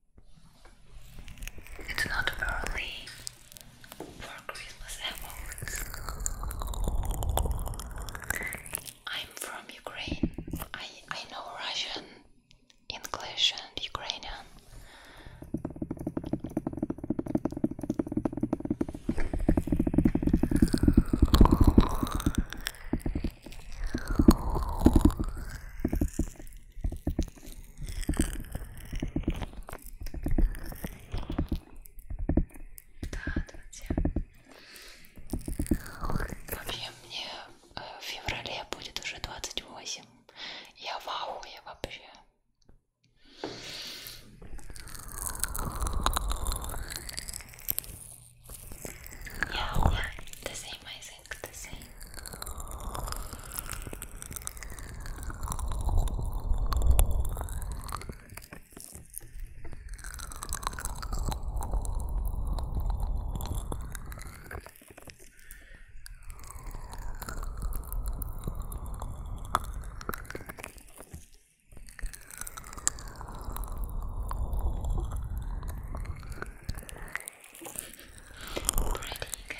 [SPEAKER 1] It's not early for Christmas emotes. I'm from Ukraine. I, I know Russian, English, and Ukrainian. Да, друзья. Вообще мне э, в феврале будет уже 28. Я в ауе вообще. Yeah, yeah, this is amazing. music the Pretty cat.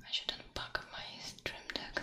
[SPEAKER 1] I should not unpack my stream deck.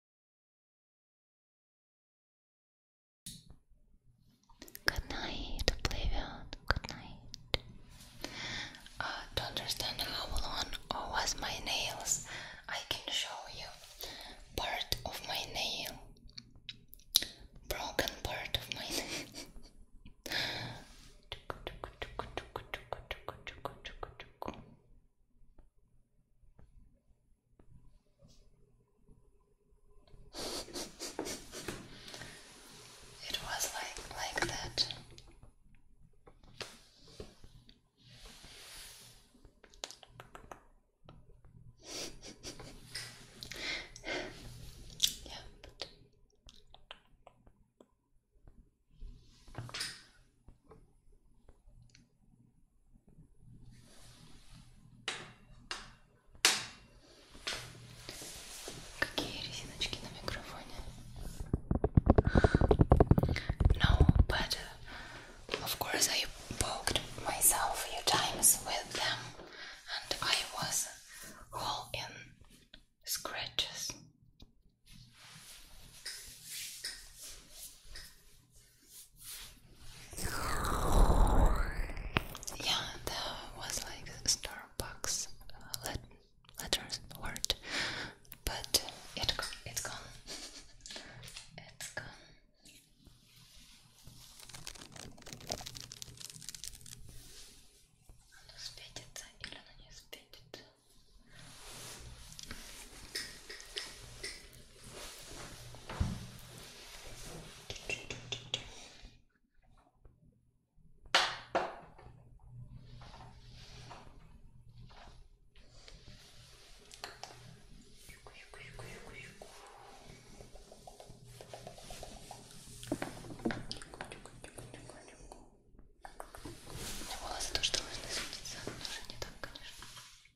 [SPEAKER 1] Good night, Oblivion. Good night. Uh, to understand how long was oh, my nails, I can show you part of my nail. Broken part of my nail. It was like like that. yeah. No, but uh, of course I poked myself a few times with them and I was all in scratches. Yeah, that was like Starbucks uh, letters word, but it it's gone. волосы тоже должны светиться, но уже не так, конечно.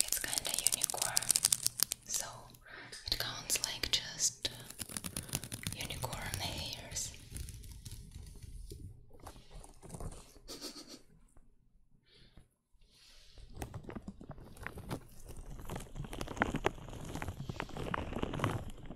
[SPEAKER 1] It's kinda unicorn, so it counts like just unicorn hairs.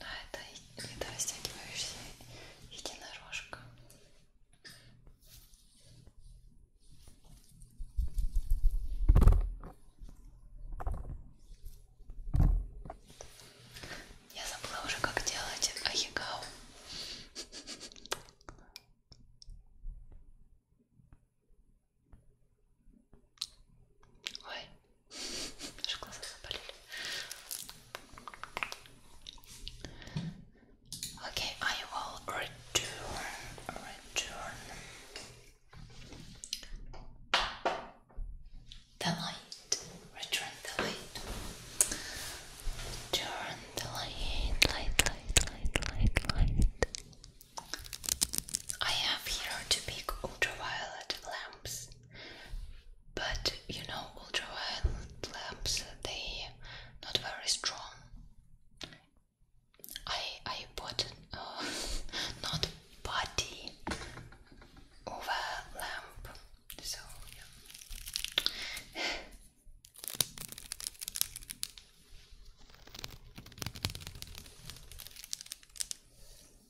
[SPEAKER 1] Но это ледорастягивающая единорожка. Я забыла уже, как делать аягау. Ой, Okay, I will return, the light, return the light, turn the light, light, light, light, light, light. I have here to pick ultraviolet lamps but you know ultraviolet lamps they not very strong i i bought uh, not body over lamp so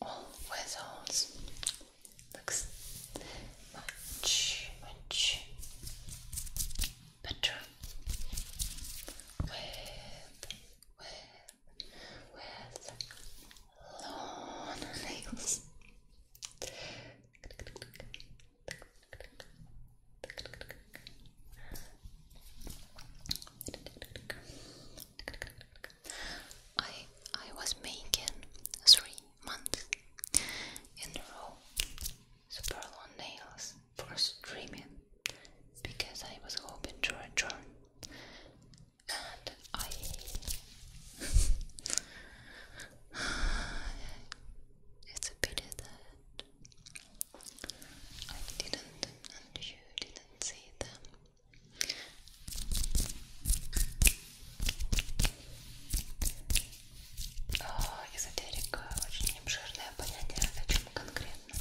[SPEAKER 1] All whistles looks much, much better with, with, with long nails. I I was making three months in a row super long nails for streaming because I was hoping to return and I It's a pity that I didn't and you didn't see them. Эзотерика очень обширное понятие, о чем конкретно.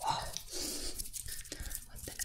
[SPEAKER 1] Wow. What the amount?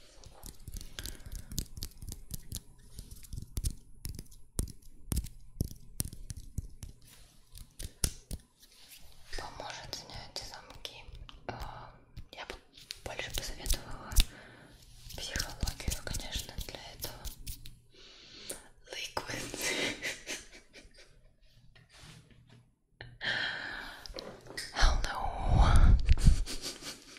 [SPEAKER 1] Поможет снять замки. А, я бы больше посоветовала психологию, конечно, для этого. Liquids. Hello.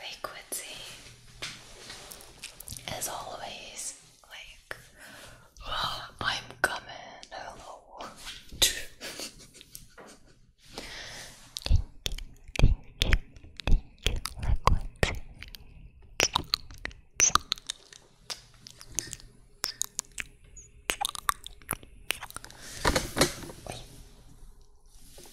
[SPEAKER 1] liquidy as always like I'm coming hello Thank you, thank you, thank you, liquid.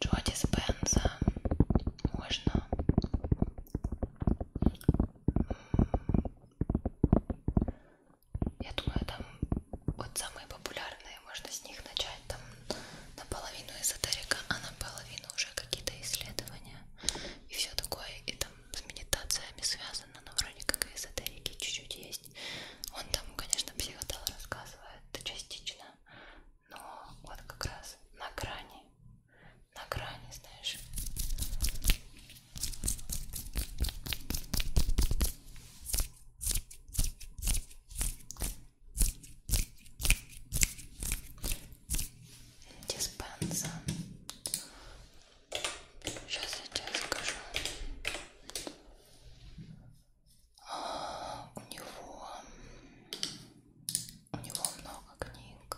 [SPEAKER 1] Джоди Спенза можно я думаю там вот самые популярные можно с них начать там наполовину эзотерика а наполовину уже какие-то исследования и все такое и там с медитациями связано но вроде как эзотерики чуть-чуть есть есть. Он там, конечно, психотал рассказывает частично, но вот как раз на грани, на грани, знаешь. Диспенса. Сейчас я тебе скажу у него у него много книг.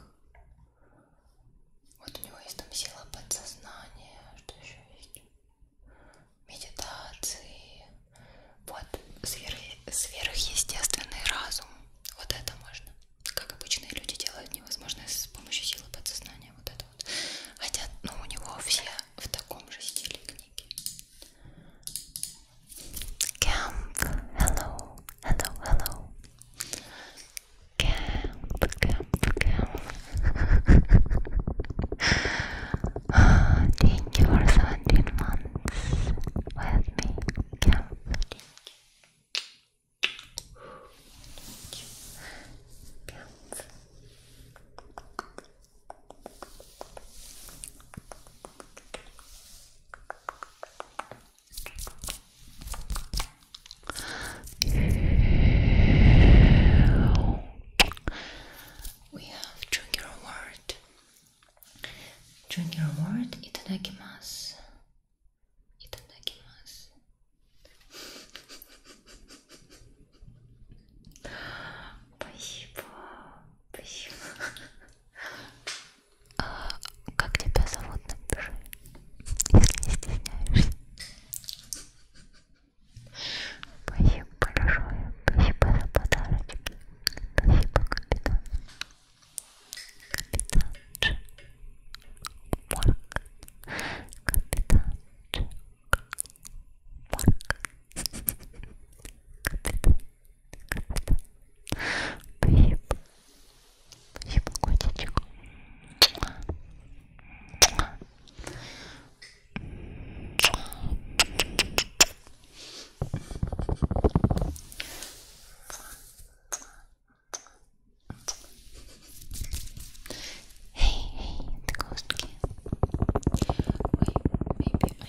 [SPEAKER 1] Вот у него есть там сила подсознания, что еще есть? Медитации. Вот сверх, сверхъестественный разум. Вот это можно. Как обычные люди делают невозможно с помощью силы подсознания. Вот это вот. Хотя, ну, у него все в таком же стиле книги. Camp, hello, hello, hello. Camp, camp, camp. oh, thank you for 17 months with me. Camp, Camp. We have junior word. Junior word itadakimasu. Itadakimasu. Спасибо. Спасибо. А, как тебя зовут, напиши, если не стесняешься. Спасибо большое. Спасибо за подарочки. Спасибо, капитан. Капитан Марк. Капитан Спасибо. Спасибо, котичек. Hey, hey, the ghost kid. Wait, maybe I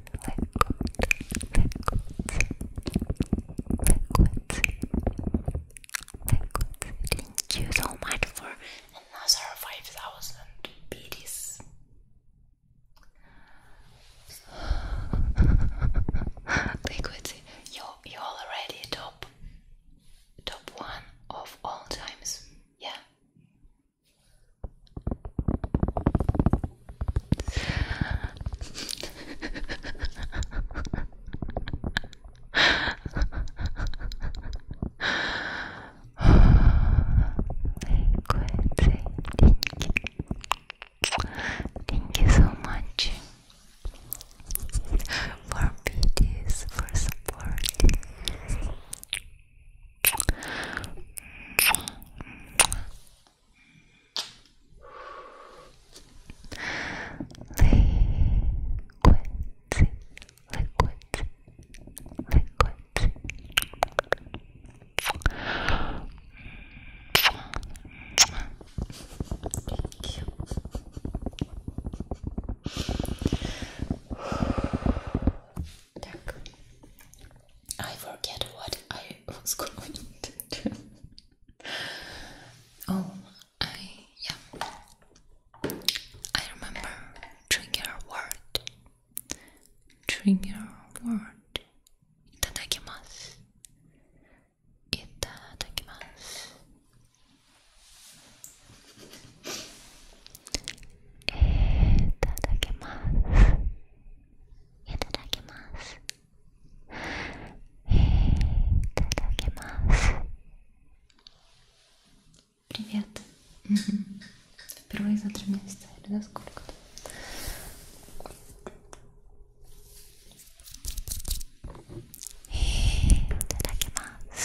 [SPEAKER 1] Thank you so much for another 5000 BDs. Liquid, you you already top top one of all times, yeah. Thank you. Thank you so much for videos, for support liquids, liquids, liquids. I forget what I was going to do. Oh, I yeah. I remember trigger word. Trigger word. Itadakimasu. Itadakimasu. Itadakimasu. Itadakimasu. Привет. Впервые за три месяца или за сколько-то. Итадакимас.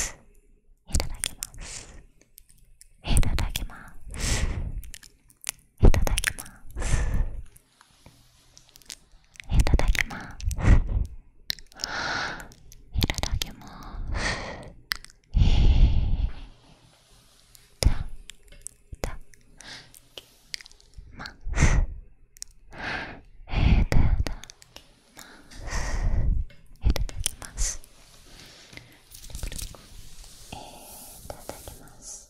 [SPEAKER 1] Итадакимас. Итадакимас. いただきますいただきますたたますいただきますいただきますいただきます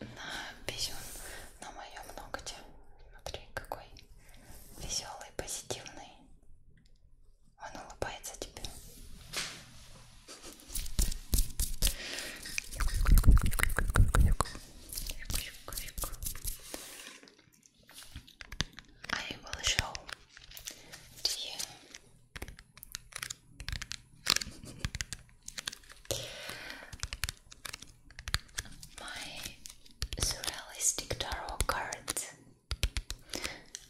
[SPEAKER 1] на писюн на моем ногте. Смотри, какой веселый, позитивный. Он улыбается тебе. I will show you. my surrealistic tarot cards.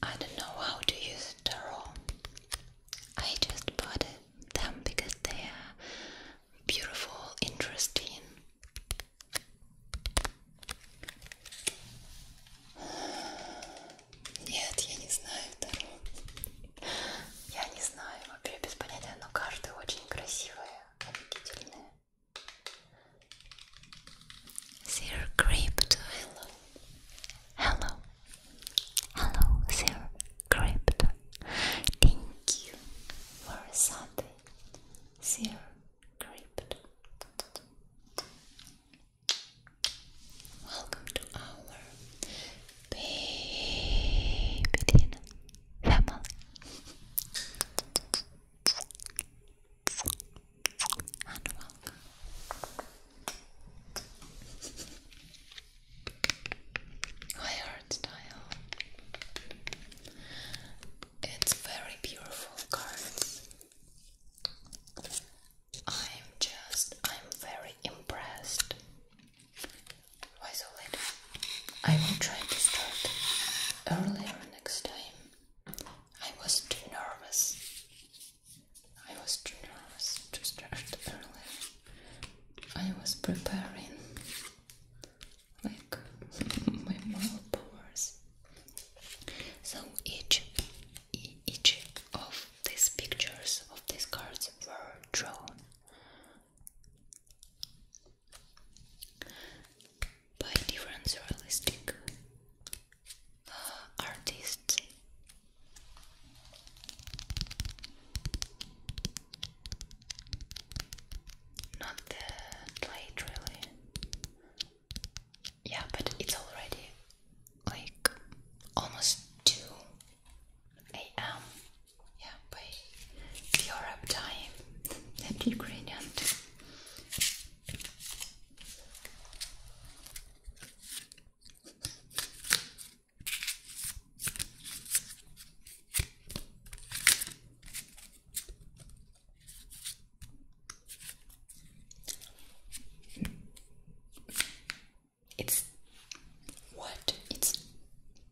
[SPEAKER 1] I don't know how to use tarot. I just bought them because they are beautiful, interesting. Нет, я не знаю второго. Я не знаю, вообще без понятия, но карты очень красивые. Sir Crypto, hello. Hello. Hello, Sir Crypto. Thank you for something, Sir Crypto. Welcome to our baby Vamos. And style. It's very beautiful cards. I'm just I'm very impressed why so late? I will try to start earlier next time. I was too nervous. I was too nervous to start earlier. I was preparing like my moral powers. So each each of these pictures of these cards were drawn by different surrealistic uh, artists. Not the really. Yeah, but it's already like almost 2 a.m yeah, by Europe time, that ingredient. It's what? It's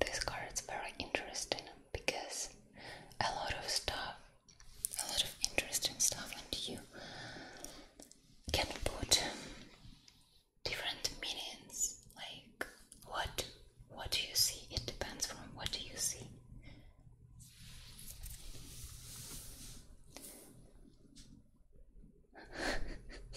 [SPEAKER 1] This card is very interesting because a lot of stuff, a lot of interesting stuff, and you can put different meanings. Like what? What do you see? It depends from what do you see.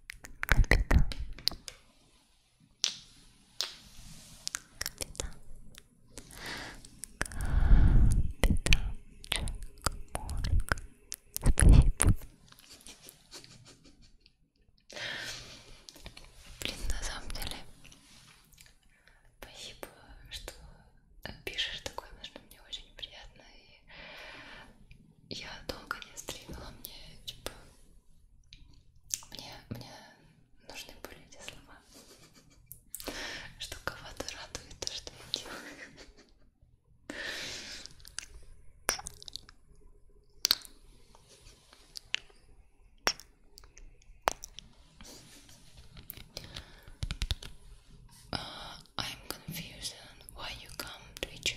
[SPEAKER 1] Капитан. Капитан. Капитанчик Морг. Спасибо. Блин, на самом деле, спасибо, что э, пишешь такое, потому что мне очень приятно и я долго не стримила, мне типа мне, мне нужны были эти слова, что кого-то радует то, что я делаю. Uh, I'm confused on why you come Twitch.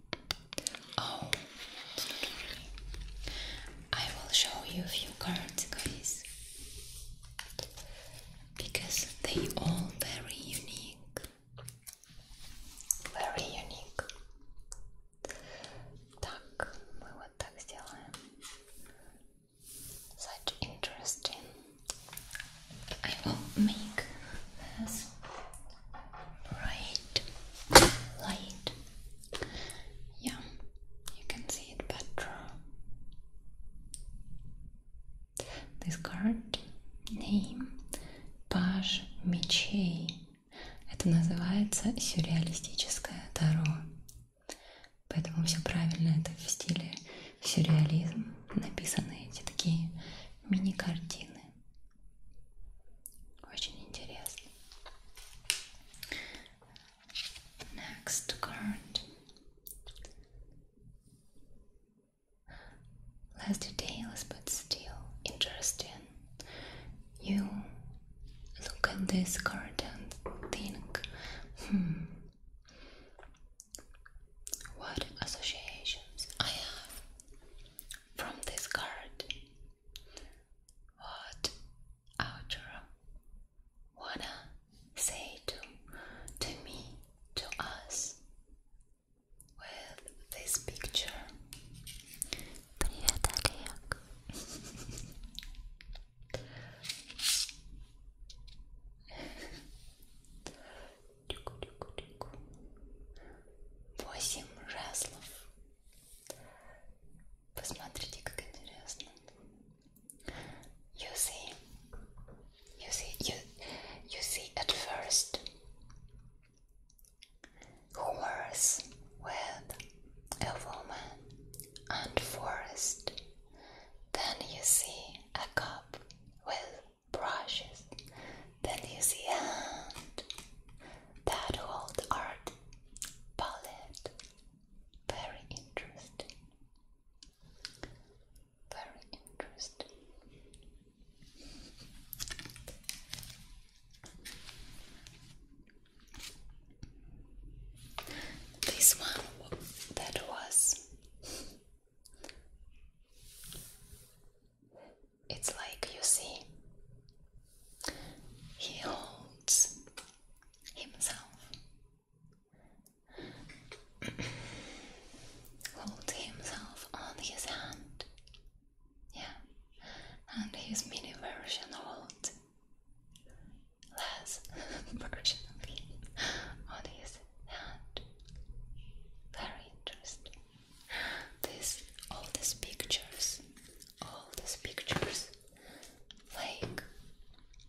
[SPEAKER 1] Oh, I will show you a few cards, guys, because they all very unique, very unique. Так, мы вот так сделаем. Such interesting. I will make right light. Yeah, you can see it better. This card name Паж мечей. Это называется сюрреалистическое таро. Поэтому все правильно, это в стиле сюрреализм написаны эти такие мини-картины. Очень интересно. Next card. Less details but still interesting. You look at this card and think, hmm, what associations I have from this card what outro wanna say to to me to us with this picture Привет, Олег. Восемь жезлов. Посмотрите, как интересно. You see, you see, you, you see at first horse with a woman and forest. Then you see a cup with brushes. Then you see hand that hold art palette. Very interesting. Very interesting. This one that was it's like you see, he holds himself, holds himself on his hand, yeah, and his mini version holds less version of on his hand. Very interesting. This, all these pictures, all these pictures, like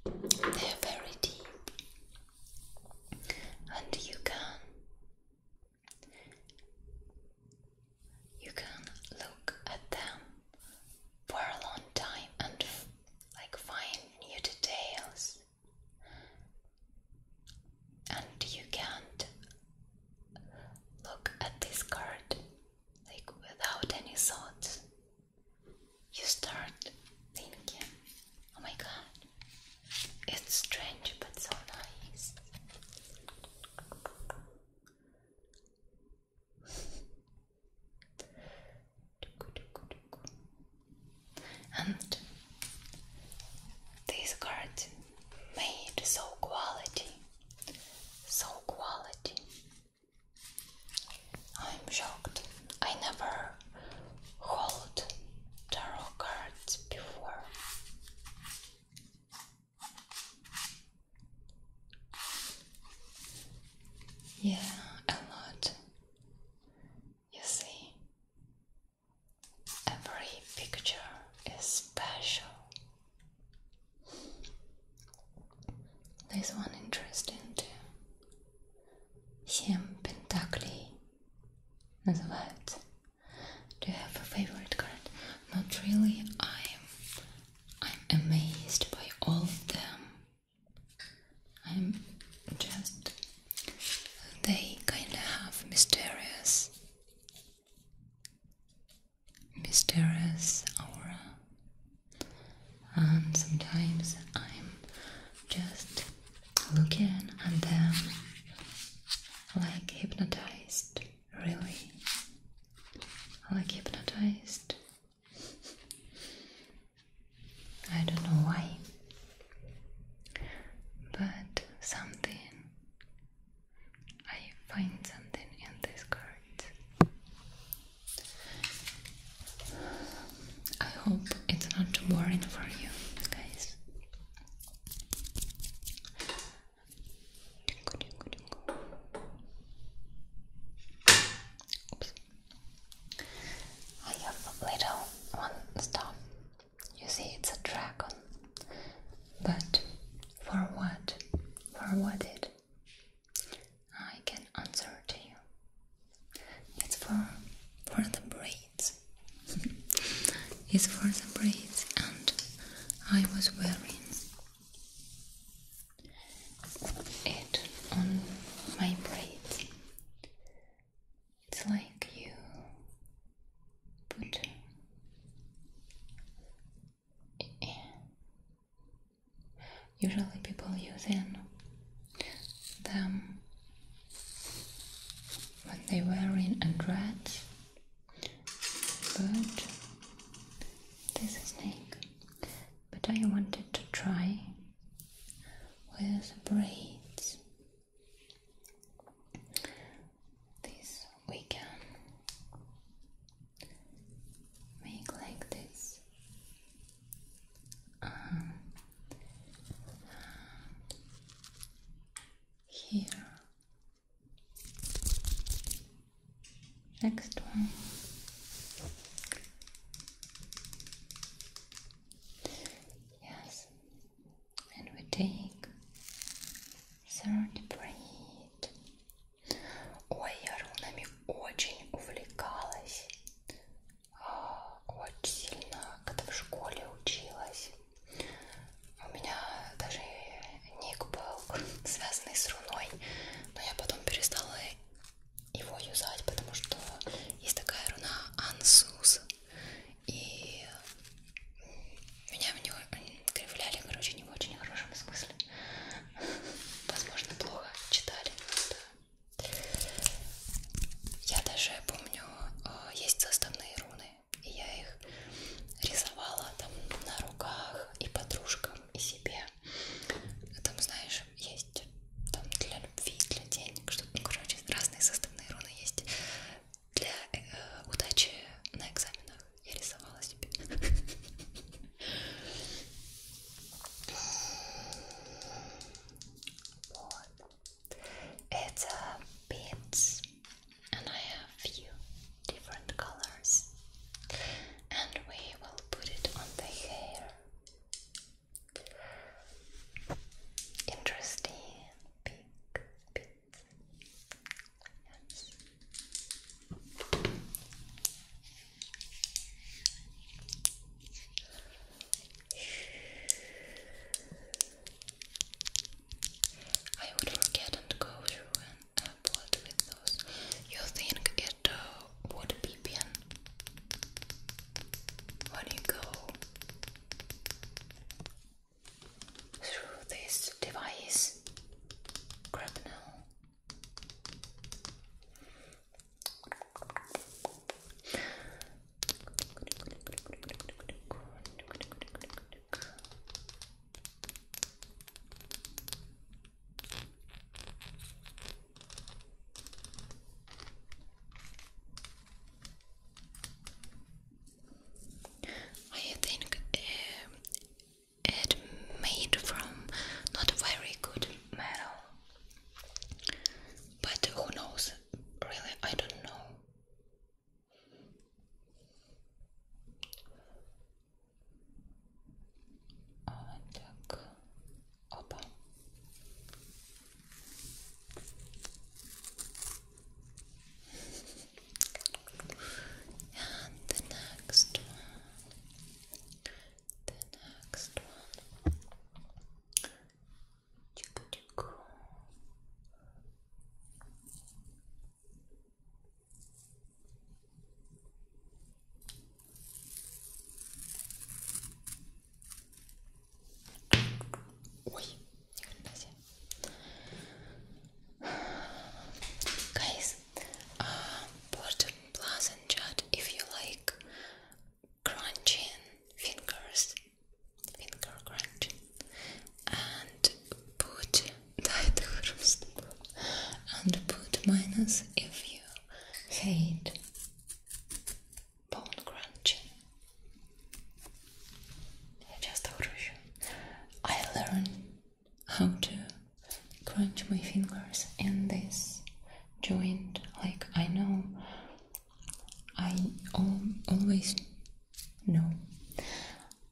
[SPEAKER 1] they're very deep, and you can, you can look at them for a long time and like find new details and you can't look at this card like without any thoughts. You start thinking, oh my god, it's strange but so nice. And this card made so quality, so quality. I'm shocked. I never hold tarot cards before. Yeah, a lot. You see, Every picture is special. This one interesting too. Семь And называют. Do you have a favorite card? Not really. I'm I'm amazed by all of them. I'm just they kinda have mysterious mysterious aura, and sometimes I'm just looking at them like hypnotized, really, like hypnotized. I don't know why, but something I find something in this card. I hope it's not too boring for you guys. I have little one stuff. You see, it's a dragon but for what? For what it? I can answer to you. It's for for the braids. it's for the braids, and I was wearing it on my braids. It's like you put Usually people use in them when they were in a dress, but this is snake. But I wanted to try with braids. These we can make like this um, here next one yes and we take Sound Breed. Ой, я рунами очень увлекалась. А, очень сильно, когда в школе училась. У меня даже ник был связанный с руной, но я потом перестала его юзать, потому что есть такая руна Ансус. И меня в него кривляли, короче, не в очень хорошем смысле. Возможно, плохо читали. Да. Я даже помню, э, есть составные руны, и я их рисовала там на руках и подружкам, и себе. Там, знаешь, есть там для любви, для денег, что ну, короче, разные составные руны есть для э, э удачи на экзаменах. It's a bit, and I have few different colors, and we will put it on the hair. Interesting, pink, pink. Yes. I would forget and go through and upload uh, with those. You think it uh, would be PN when you go? through this device. I think um, it made from not very good metal but who knows really I don't know вот and the next one, the next one. Chico, chico. Uy, Guys, uh, um, and chat if you like crunching fingers, finger crunching, and put that and put minus if you hate bone crunching. Я часто кручу. I learn how to crunch my fingers in this joint. Like I know, I always know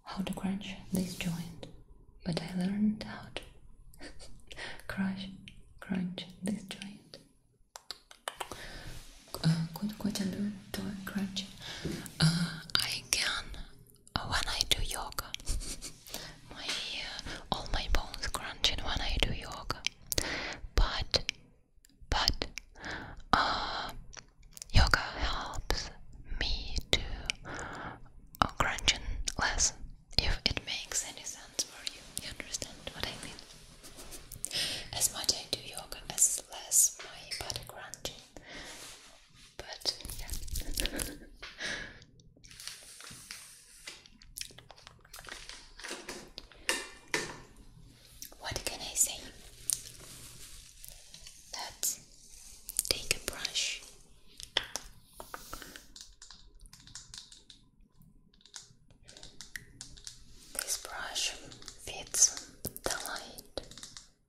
[SPEAKER 1] how to crunch this joint, but I learned how to crunch crunch this joint. Uh, could, could I to crunch? Uh, I can when I do yoga. my uh, all my bones crunching when I do yoga. But but uh, yoga helps me to uh, crunching less. If it makes any sense for you, you understand what I mean. As much I do yoga, as less my body crunching but yeah. what can I say? That take a brush. This brush fits the light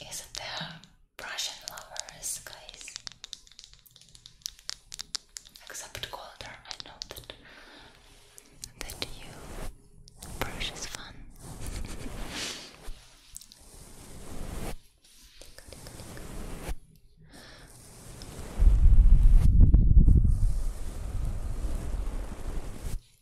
[SPEAKER 1] Isn't there Russian lovers, guys? Except colder, I know that that you brush is fun.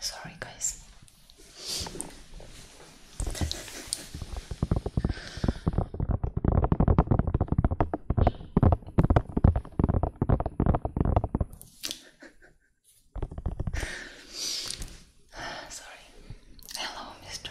[SPEAKER 1] Sorry, guys. Sorry. Hello, Mr.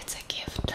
[SPEAKER 1] It's a gift.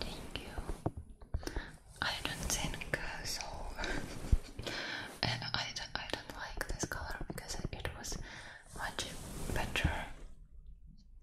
[SPEAKER 1] Thank you. I don't think uh, so. and I I don't like this color because it was much better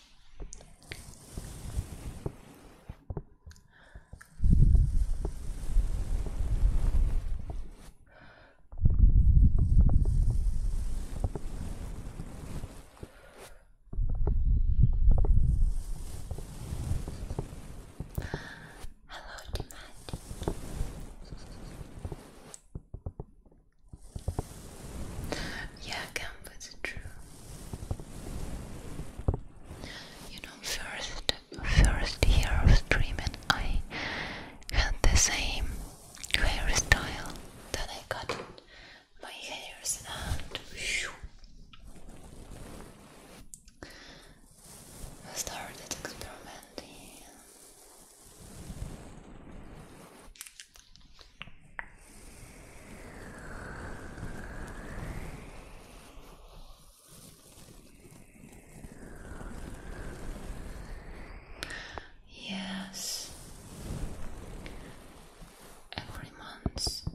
[SPEAKER 1] Hello, Dematic. Yeah, comfort's true. You know, first, first year of streaming, I had the same hairstyle. Then I cut my hairs and shoo, I started experimenting. Yes, every month,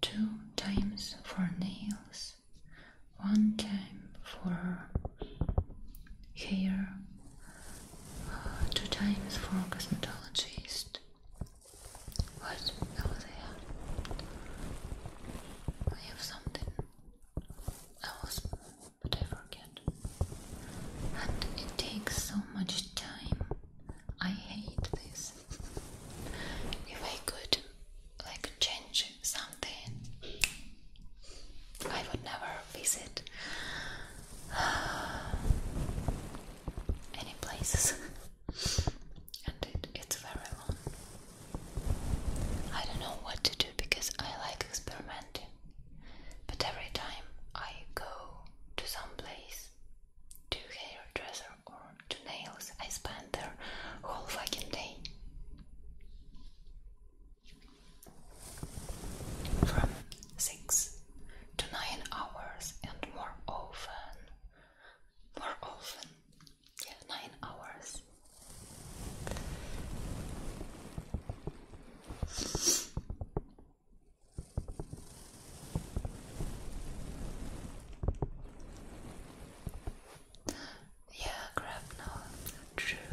[SPEAKER 1] two times for nails, one time for hair, two times for cosmetologist. What? over there? I have something else, but I forget. And it takes so much time. I hate this. if I could, like, change something, I would never visit any places, and it's very long. I don't know what to do because I like experimenting, but every time I go to some place to hairdresser or to nails, I spend their whole fucking day from six to nine hours and more often. More often, yeah, nine hours. Yeah, grab now. True.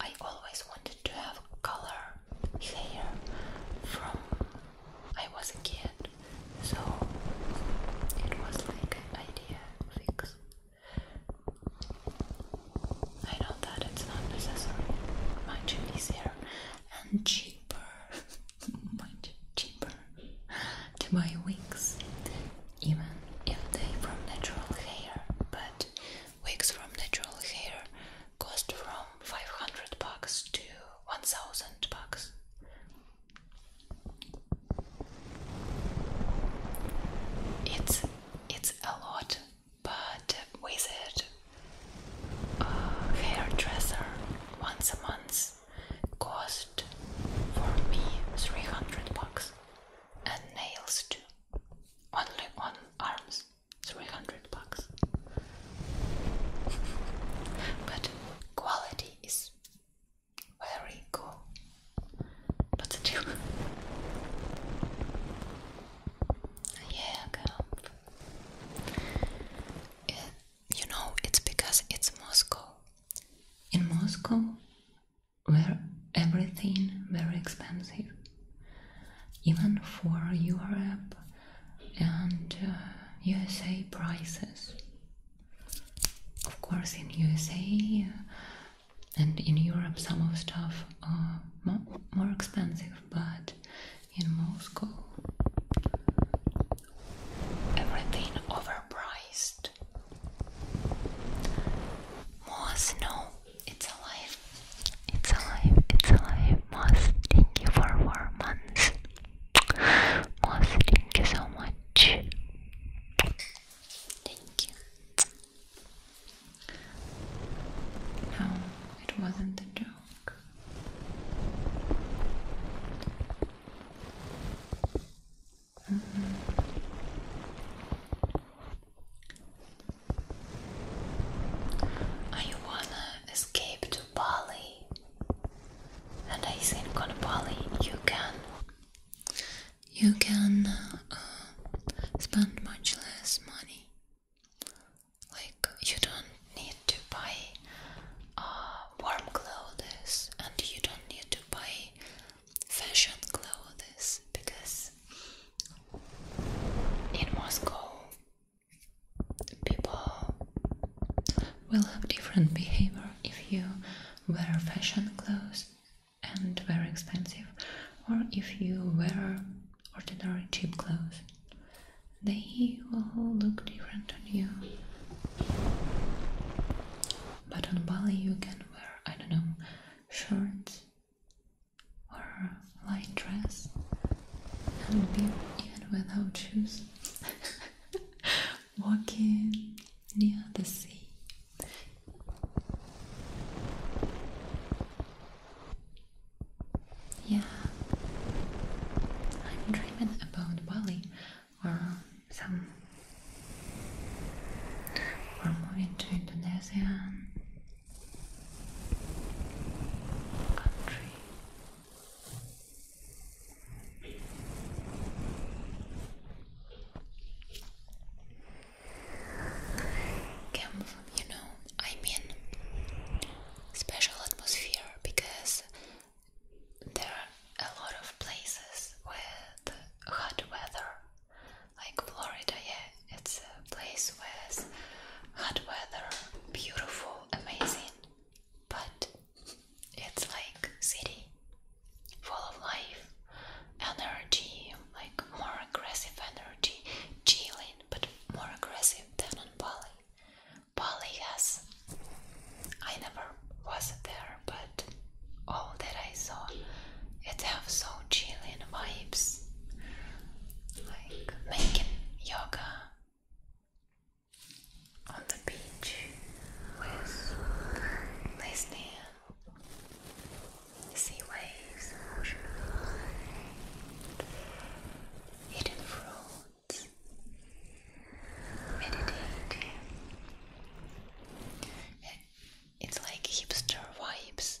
[SPEAKER 1] I always wanted to have color hair from I was a kid, so it was like an idea fix. I know that it's not necessary, much easier and cheaper, much cheaper to buy wigs, even if they from natural hair. But wigs from natural hair cost from 500 bucks to 1000 bucks. It's it's a lot, but with it, a uh, hairdresser once a month cost for me 300 bucks and nails too, only on arms. 300 bucks. but quality is very good. But still. yeah, camp. you know, it's because it's Moscow. In Moscow, where everything very expensive even for Europe and USA uh, prices. Of course, in USA uh, and in Europe, some of stuff are more, more expensive, but in Moscow, everything overpriced. More snow. It's alive. It's alive. It's alive. Moss, thank you for four months. Moss, thank you so much. Thank you. No, it wasn't a joke. Mm-hmm. I wanna escape to Bali, and I think on Bali you can you can uh, spend much less money. Like you don't need to buy uh, warm clothes, and you don't need to buy fashion clothes because it in Moscow people will have different behavior if you wear fashion clothes and very expensive, or if you wear ordinary cheap clothes. They will look different on you. But on Bali you can wear, I don't know, shirts or light dress and be, even without shoes walking near the sea yeah I'm dreaming about Bali or some or moving to Indonesia country. you know, I mean, special atmosphere because there are a lot of places with hot weather, like Florida, yeah, it's a place with hot weather, beautiful, amazing, but it's like city full of life, energy, like more aggressive energy, chilling, but more aggressive than on Bali. Bali has I never was there, but all that I saw, it have so chilling vibes like making yoga on the beach with listening sea waves, eating fruits, meditating. It's like hipster vibes.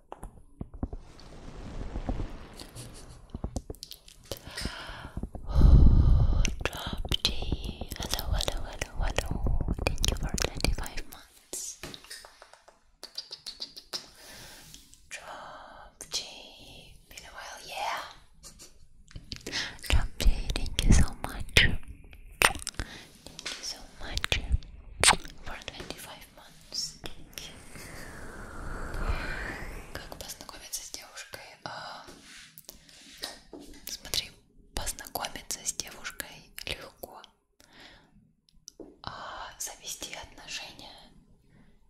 [SPEAKER 1] drop G. Hello, hello, hello, hello. Thank you for 25 months. Drop G. Been a while, yeah. Drop G, thank you so much. Thank you so much for 25 Монстики. Как познакомиться с девушкой? А, ну, смотри, познакомиться с девушкой легко. А завести отношения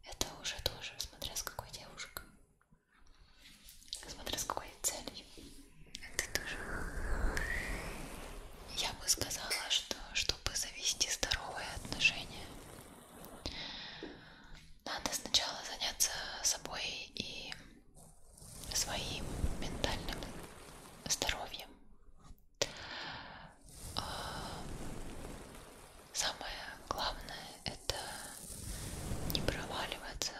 [SPEAKER 1] это уже тоже, смотря с какой девушкой. Смотря с какой целью. Это тоже. Я бы сказала, что чтобы завести здоровые отношения, надо сначала заняться собой и своим ментальным здоровьем. А, самое главное это не проваливаться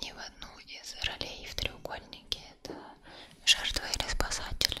[SPEAKER 1] ни в одну из ролей в треугольнике. Это жертва или спасатель,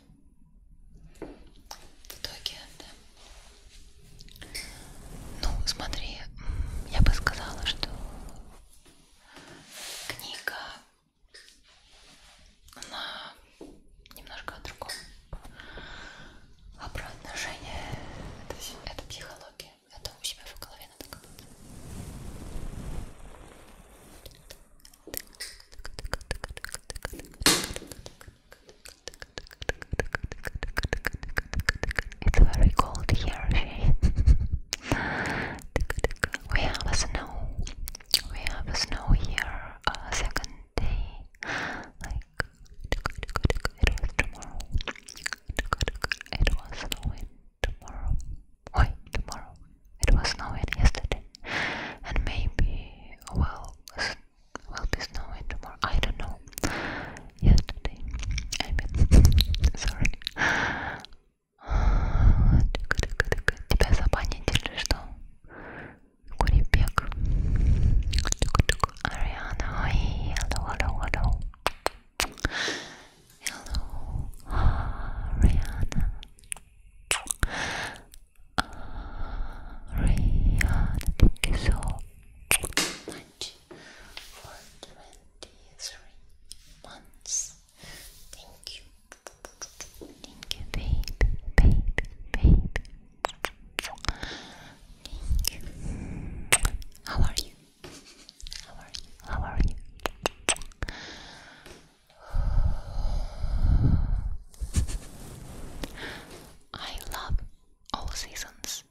[SPEAKER 1] Вот. В итоге, да. Ну, смотри, я бы сказала, что книга она немножко о другом. А про отношения это, это психология. Это у себя в голове надо как It's very cold here, we have a snow. We have a snow here. A uh, second day, like it was tomorrow. It was snowing tomorrow. Wait, tomorrow. It was snowing yesterday, and maybe well, will be snowing tomorrow. I don't know. Yesterday, I mean, sorry. Тебя забанили что? Курипек. Ариана, ой, hello, hello, hello. Hello, Ariana. Uh, thank you so much for 23 months. Thank you. Thank you, babe, babe, babe. Thank you. How are you? How are you? How are you? I love all seasons.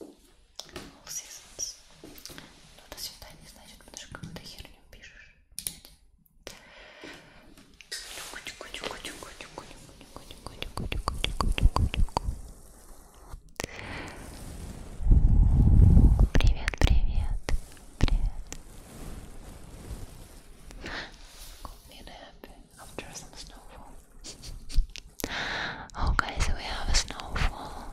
[SPEAKER 1] All seasons. Ну, до свидания, значит, потому что какую-то херню пишешь. Привет, привет, привет. Call me happy. after some snowfall. oh guys, we have a snowfall.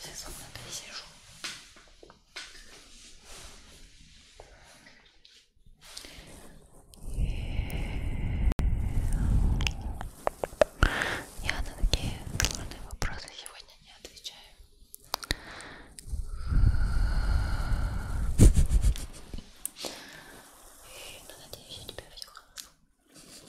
[SPEAKER 1] Вся комната сижу. Я на такие сложные вопросы сегодня не отвечаю. Но ну, надеюсь, я тебя взяла.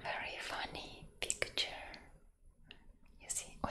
[SPEAKER 1] Very funny picture. You see? Oi.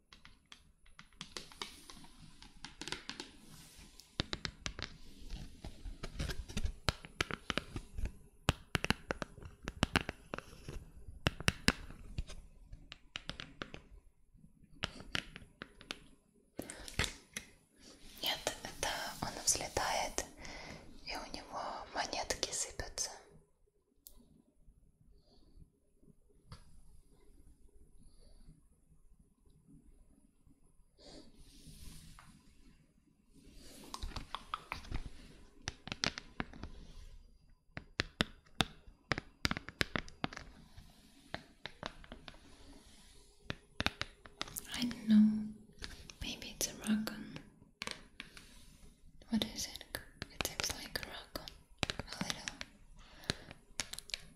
[SPEAKER 1] Нет, это он взлетает, и у него монетки сыпятся. I don't know. Maybe it's a raccoon. What is it? It like a raccoon.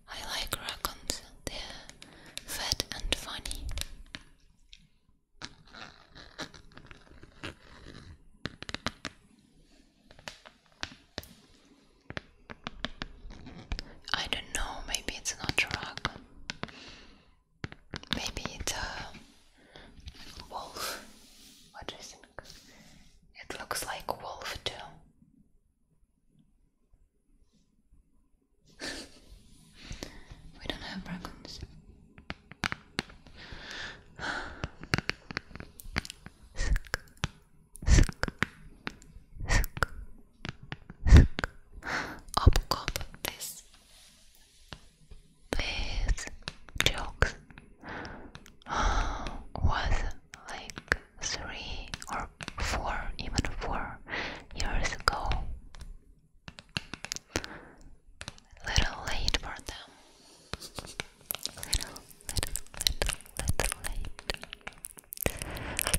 [SPEAKER 1] I like raccoons, they're fat and funny. I don't know, maybe it's not a raccoon. Maybe it's a wolf. What do you think? It looks like wolf too. we don't have dragons. Up cop this with jokes. was like three or four, even four years ago. Little late for them. Little, little, little, little late. Little late.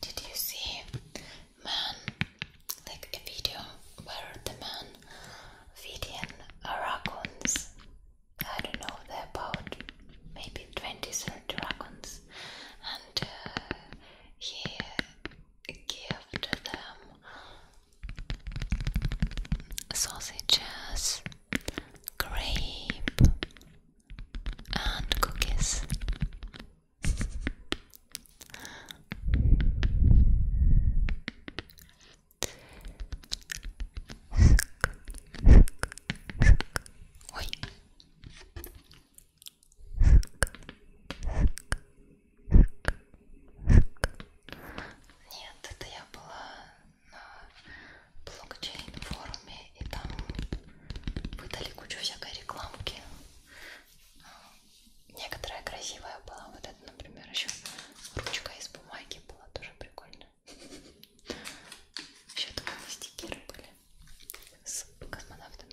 [SPEAKER 1] Did you see man like a video where the man feeding raccoons? I don't know, they're about maybe 20 30 raccoons, and uh, he gave them sausages, grape, and cookies. Нет, это я была на блокчейн-форуме, и там выдали кучу всякой рекламки. Некоторая красивая была, вот эта, например, еще ручка из бумаги была тоже прикольная. Еще такие стикеры были с космонавтами.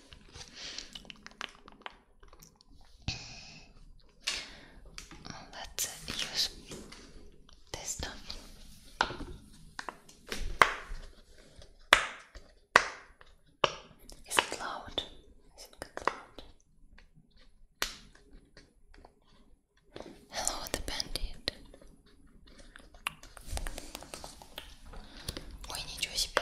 [SPEAKER 1] Let's use this stuff. Is it loud? Is it good Hello, the bandit. Ой, ничего себе.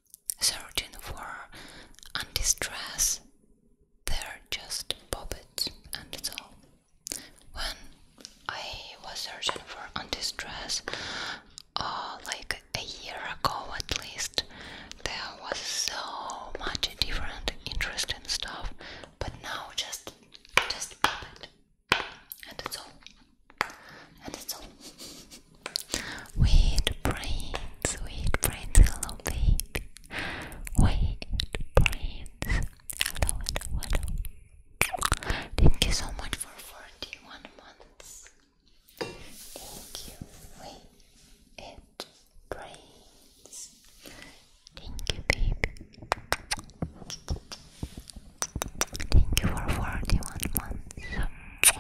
[SPEAKER 1] searching for undistress, They're just puppets, and it's all. When I was searching for undistress, stress uh, like a year ago at least, there was so much different, interesting stuff. But now, just, just puppet, and it's all. And brains, weird brains, hello baby. Weird brains. Hello, hello, hello. Thank you so much for 41 months. Thank you, weird brains. Thank you, baby. Thank you for 41 months.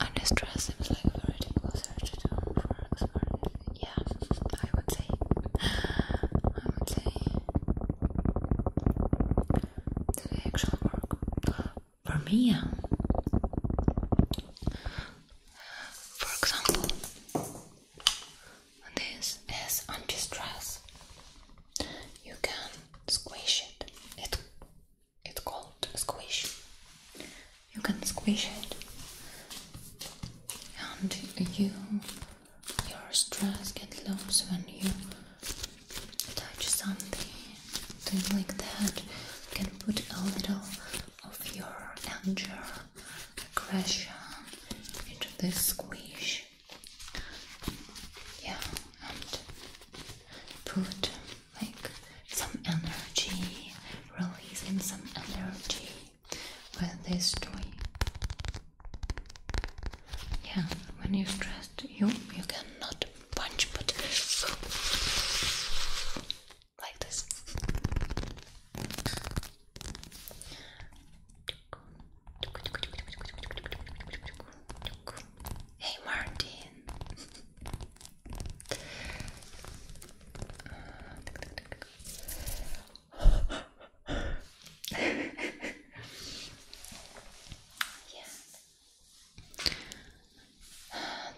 [SPEAKER 1] Thank stress seems like a very difficult search for expert. Yeah, I would say. I would say. The actual work. For me, yeah. For example, this is anti-stress. You can squish it. It it's called squish. You can squish it, and you your stress get loose when you touch something, thing like that. You can put a little of your anger Crash into this squish. Yeah, and put like some energy, releasing some energy with this toy. Yeah, when you're stressed, you you can not punch, but like this. Hey, Martin.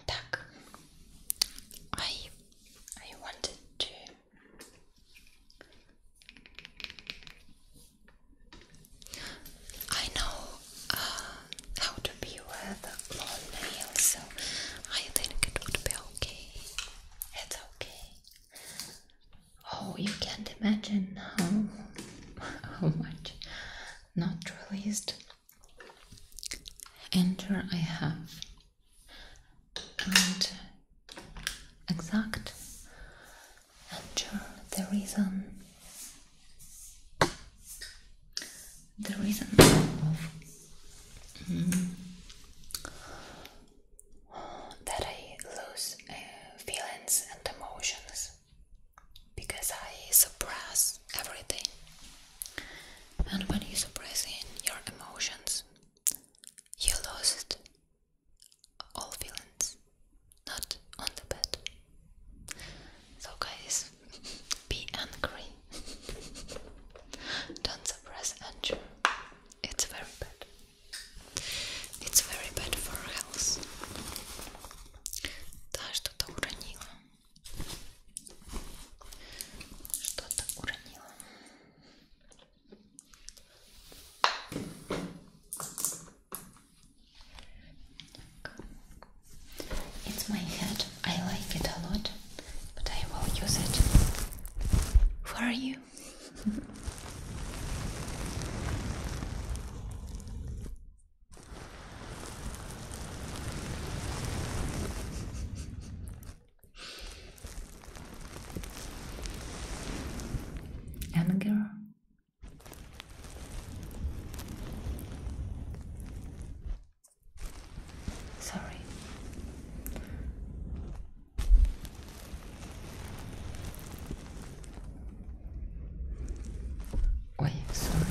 [SPEAKER 1] Так, I, I wanted to I know how uh, to be with long nails, so I think it would be okay. It's okay. Oh, you can't imagine how, how much not released anger I have and exact and sure the reason the reason of mm, that I lose uh, feelings and emotions because I suppress everything and when you suppress your emotions you lost all feelings, not on the bed. So, guys, be angry. Don't suppress anger. It's very bad. It's very bad for health. It's my hat. I like it a lot, but I will use it Who are you. anger sorry Wait, sorry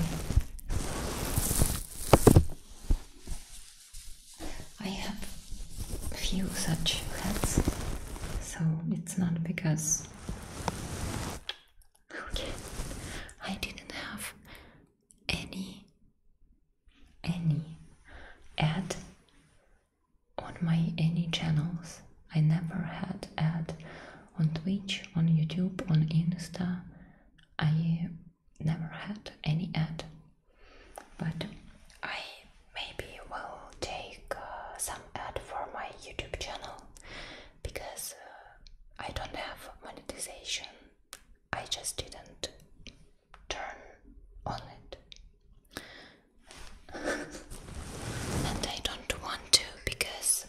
[SPEAKER 1] I have few such ads, so it's not because okay, I didn't have any any ad on my any channels. I never had ad on Twitch, on YouTube, on Insta. I never had any ad but I maybe will take uh, some ad for my YouTube channel because uh, I don't have monetization. I just didn't turn on it. and I don't want to because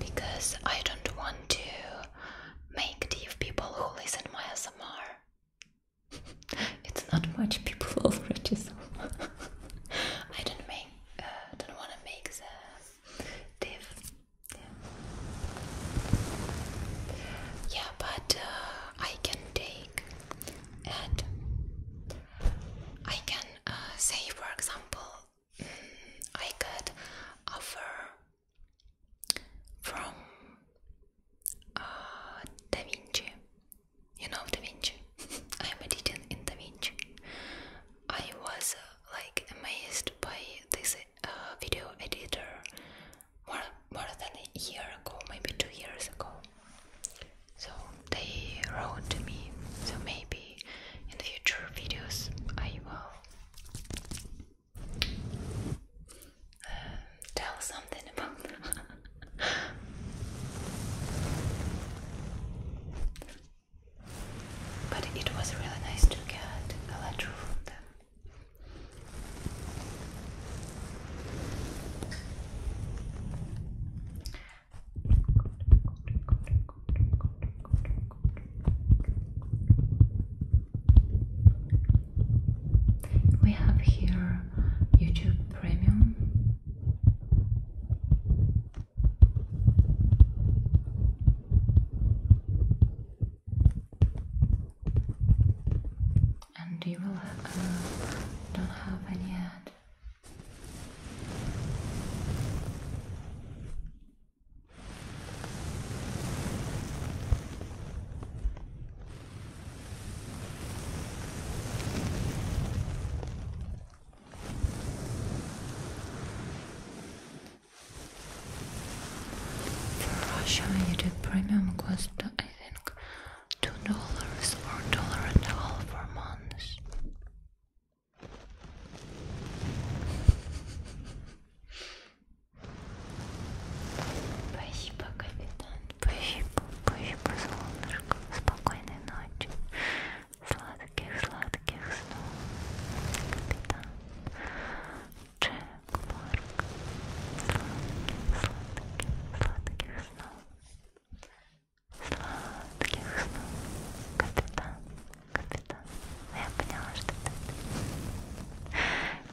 [SPEAKER 1] because I don't want to make deaf people who listen my ASMR it's not much people offer. I don't make uh, don't want to make the div. Yeah, but uh, I can take and I can uh, say for example mm, I could offer from Eh, da Vinci. You know Da Vinci? I am a teacher in Da Vinci. I was uh, like amazed by this uh, video editor more, more than a year ago, maybe two years ago. So they wrote to me, so maybe in the future videos I will tell something about them. but it was really nice to get a letter from them. We have here YouTube Premium. And you will uh, don't have any ad. For Russia, you premium cost, I think, two dollars or dollar and a half per month. Спасибо, капитан. Спасибо, спасибо, солнышко. Спокойной ночи. Сладких, сладких снов. Капитан. Джек Марк. Сладких, сладких, сладких снов. Сладких снов. Капитан. Капитан. Я поняла, что это.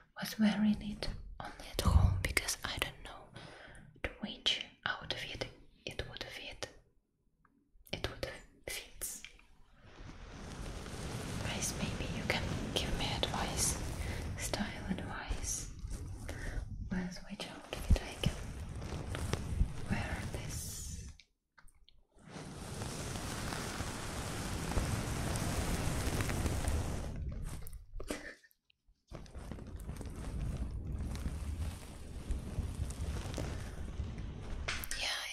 [SPEAKER 1] was wearing it only at home because I don't know to which outfit it would fit. It would fit. Guys, maybe you can give me advice, style advice, with which outfit I can wear this yeah,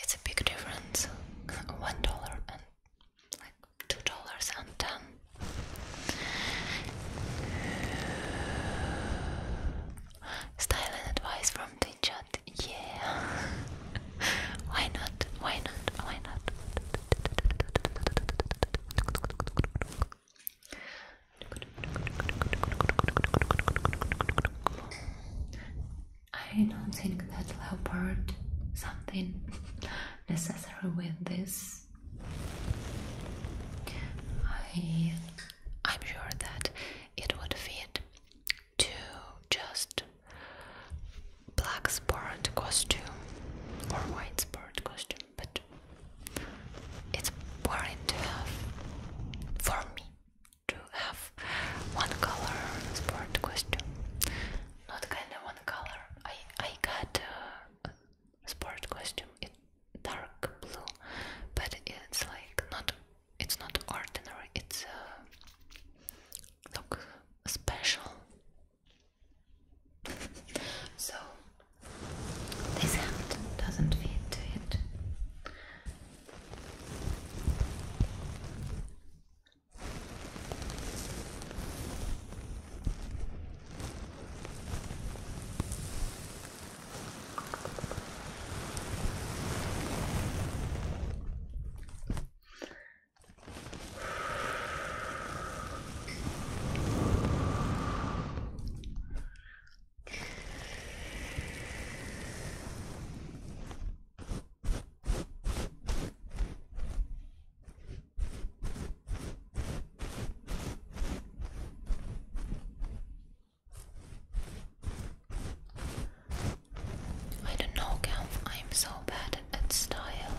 [SPEAKER 1] it's a big difference. One dollar and like two dollars and ten. Styling advice from the Yeah. Why not? Why not? Why not? I don't think that leopard something necessary with this. I I'm sure that it would fit to just black sport costume or white sport costume, but it's boring to have for me to have one color sport costume. Not kind of one color. I I got a sport costume. It dark blue but it's like not it's not ordinary it's uh, look special. So this hand doesn't fit it. I don't know, Cal. I'm so bad and style.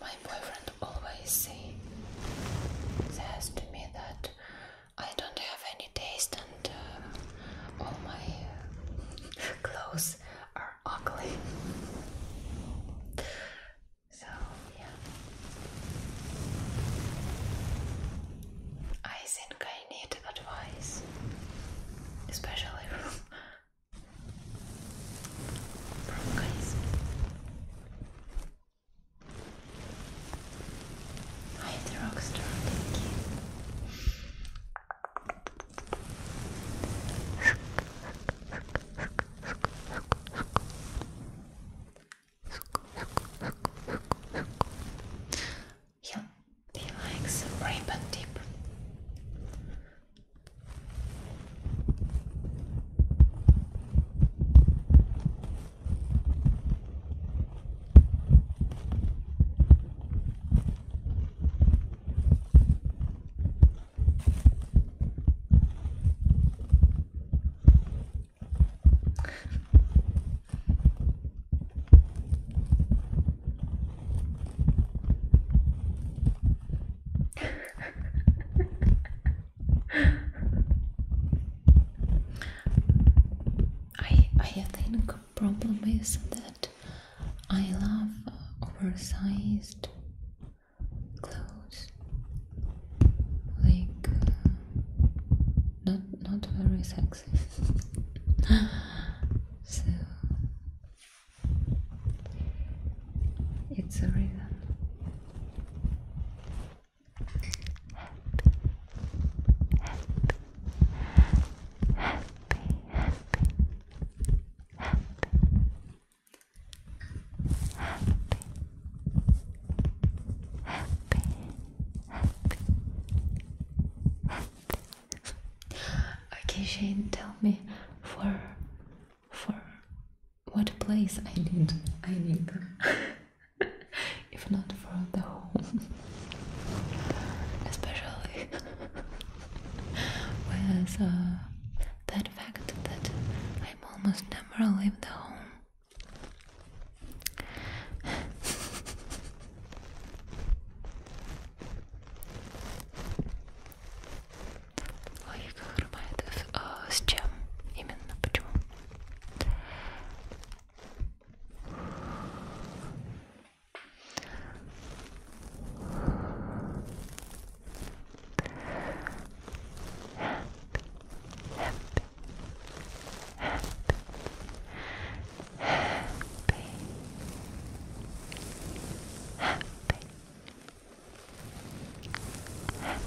[SPEAKER 1] My boyfriend always says to me that I don't have any taste and uh, all my clothes are ugly. So, yeah. I think I need advice, especially from, guys. I am the rockstar, thank you. He likes a ribbon dip. I I think problem is that I love uh, oversized clothes, like uh, not not very sexy. so it's a rhythm. happy, happy, happy, happy, happy, happy, happy, happy okay, Shane, tell me for for what place I need I need them, if not for the home, especially with uh, that fact that I'm almost never leave the home. Логика хромает. А, с чем именно? Почему? Happy, happy, happy, happy, happy, happy, happy, happy,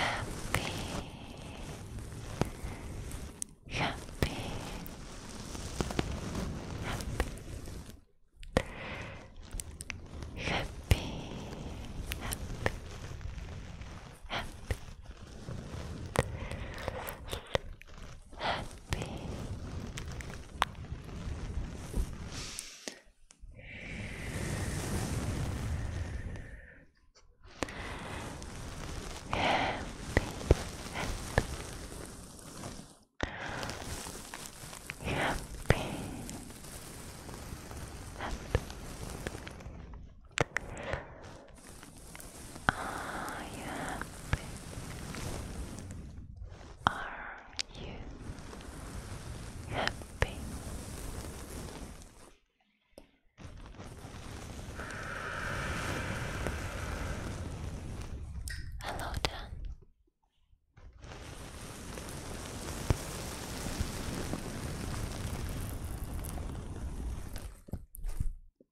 [SPEAKER 1] happy, happy, happy. Happy, happy. Happy, happy, happy, I Are you happy? Hello, Dan.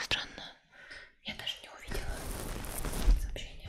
[SPEAKER 1] Странно, я даже не увидела сообщение.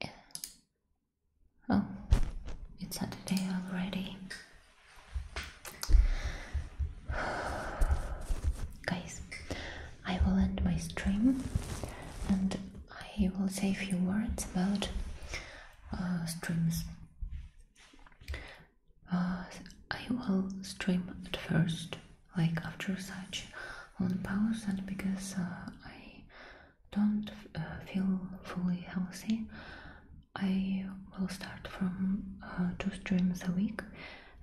[SPEAKER 1] Yeah. Oh, it's Saturday already. Guys, I will end my stream and I will say a few words about uh, streams. Uh, I will stream at first, like after such, on pause, and because uh, I don't uh, feel fully healthy, I will start from two streams a week,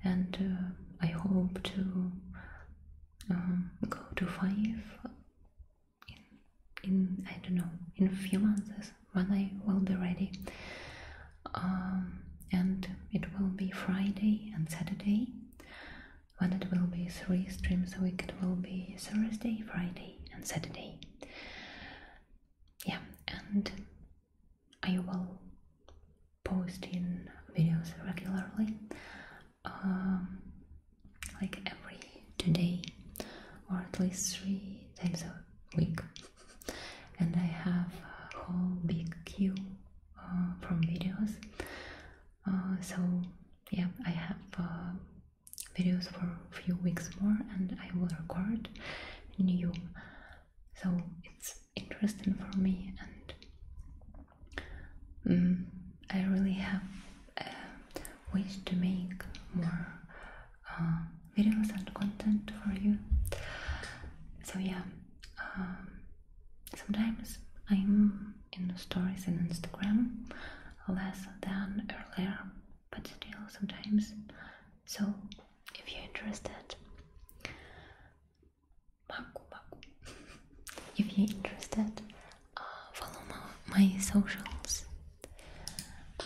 [SPEAKER 1] and I hope to um, go to five in, in I don't know in a few months when I will be ready. Um, and it will be Friday and Saturday. When it will be three streams a week, it will be Thursday, Friday, and Saturday. Yeah, and I will post in videos regularly, um, like every two day or at least three times a week and I have a whole big queue uh, from videos. Uh, so yeah, I have uh, videos for a few weeks more, and I will record new. So it's interesting for me, and mm, I really have a wish to make more videos um, and content for you. So yeah, um, sometimes I'm in stories and Instagram less than earlier, but still sometimes. So if you're interested, if you're interested, uh, follow my, socials. Uh,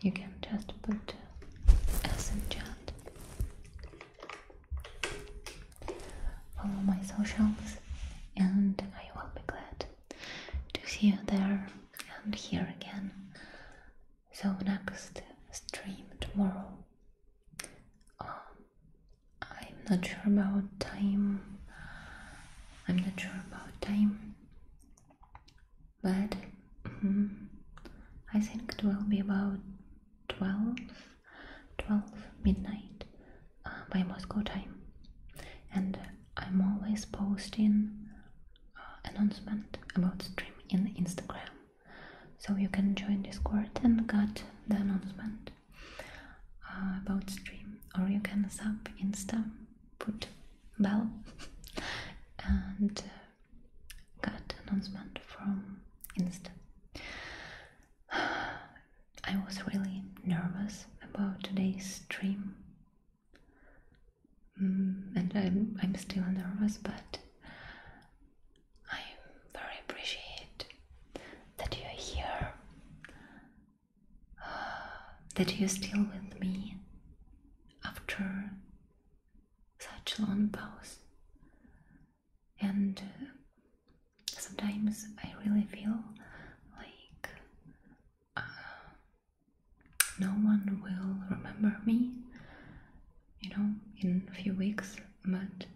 [SPEAKER 1] you can just put uh, as enchant. Follow my socials, and I will be glad to see you there and here again. So, next stream tomorrow. Um, I'm not sure about time. I'm not sure about time but hmm, I think it will be about 12, midnight uh, by Moscow time. And I'm always posting uh, announcement about stream in Instagram, so you can join Discord and get the announcement uh, about stream, or you can sub Insta, put bell, and got announcement from Insta. I was really nervous about today's stream, mm, and I'm I'm still nervous, but I very appreciate that you're here, that you're still with me after such long pause. And uh, sometimes I really feel like uh, no one will remember me, you know, in a few weeks, but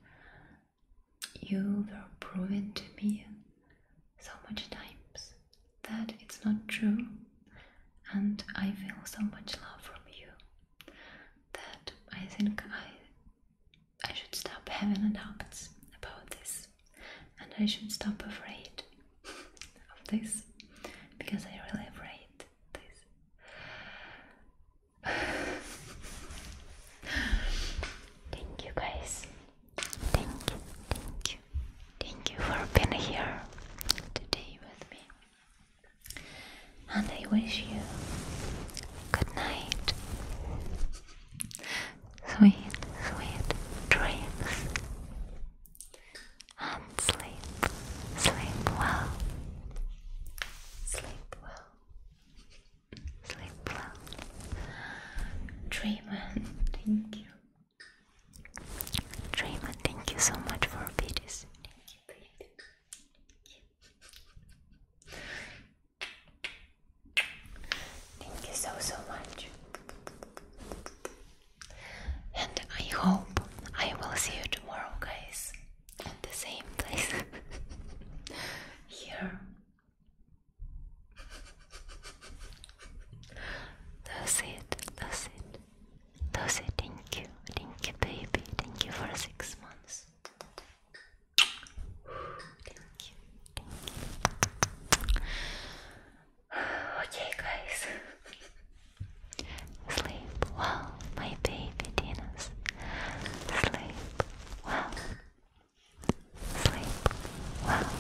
[SPEAKER 1] you were proven to me so much times that it's not true and I feel so much love from you that I think I I should stop having doubts about this and I should stop afraid of this because I really afraid this Thank you guys thank you thank you thank you for being here today with me and I wish you good night. Sweet, sweet dreams. And sleep, sleep well. Sleep well. Sleep well. Dream, thank you. Draymond, thank you so much for videos. Thank thank you. Thank you so so much. And I hope I will see you tomorrow, guys, at the same place here. That's it, that's it. Lucy, thank you, thank you, baby, thank you for six months. thank you. Okay, guys. Sleep well, my baby dinos. Sleep well. Sleep well.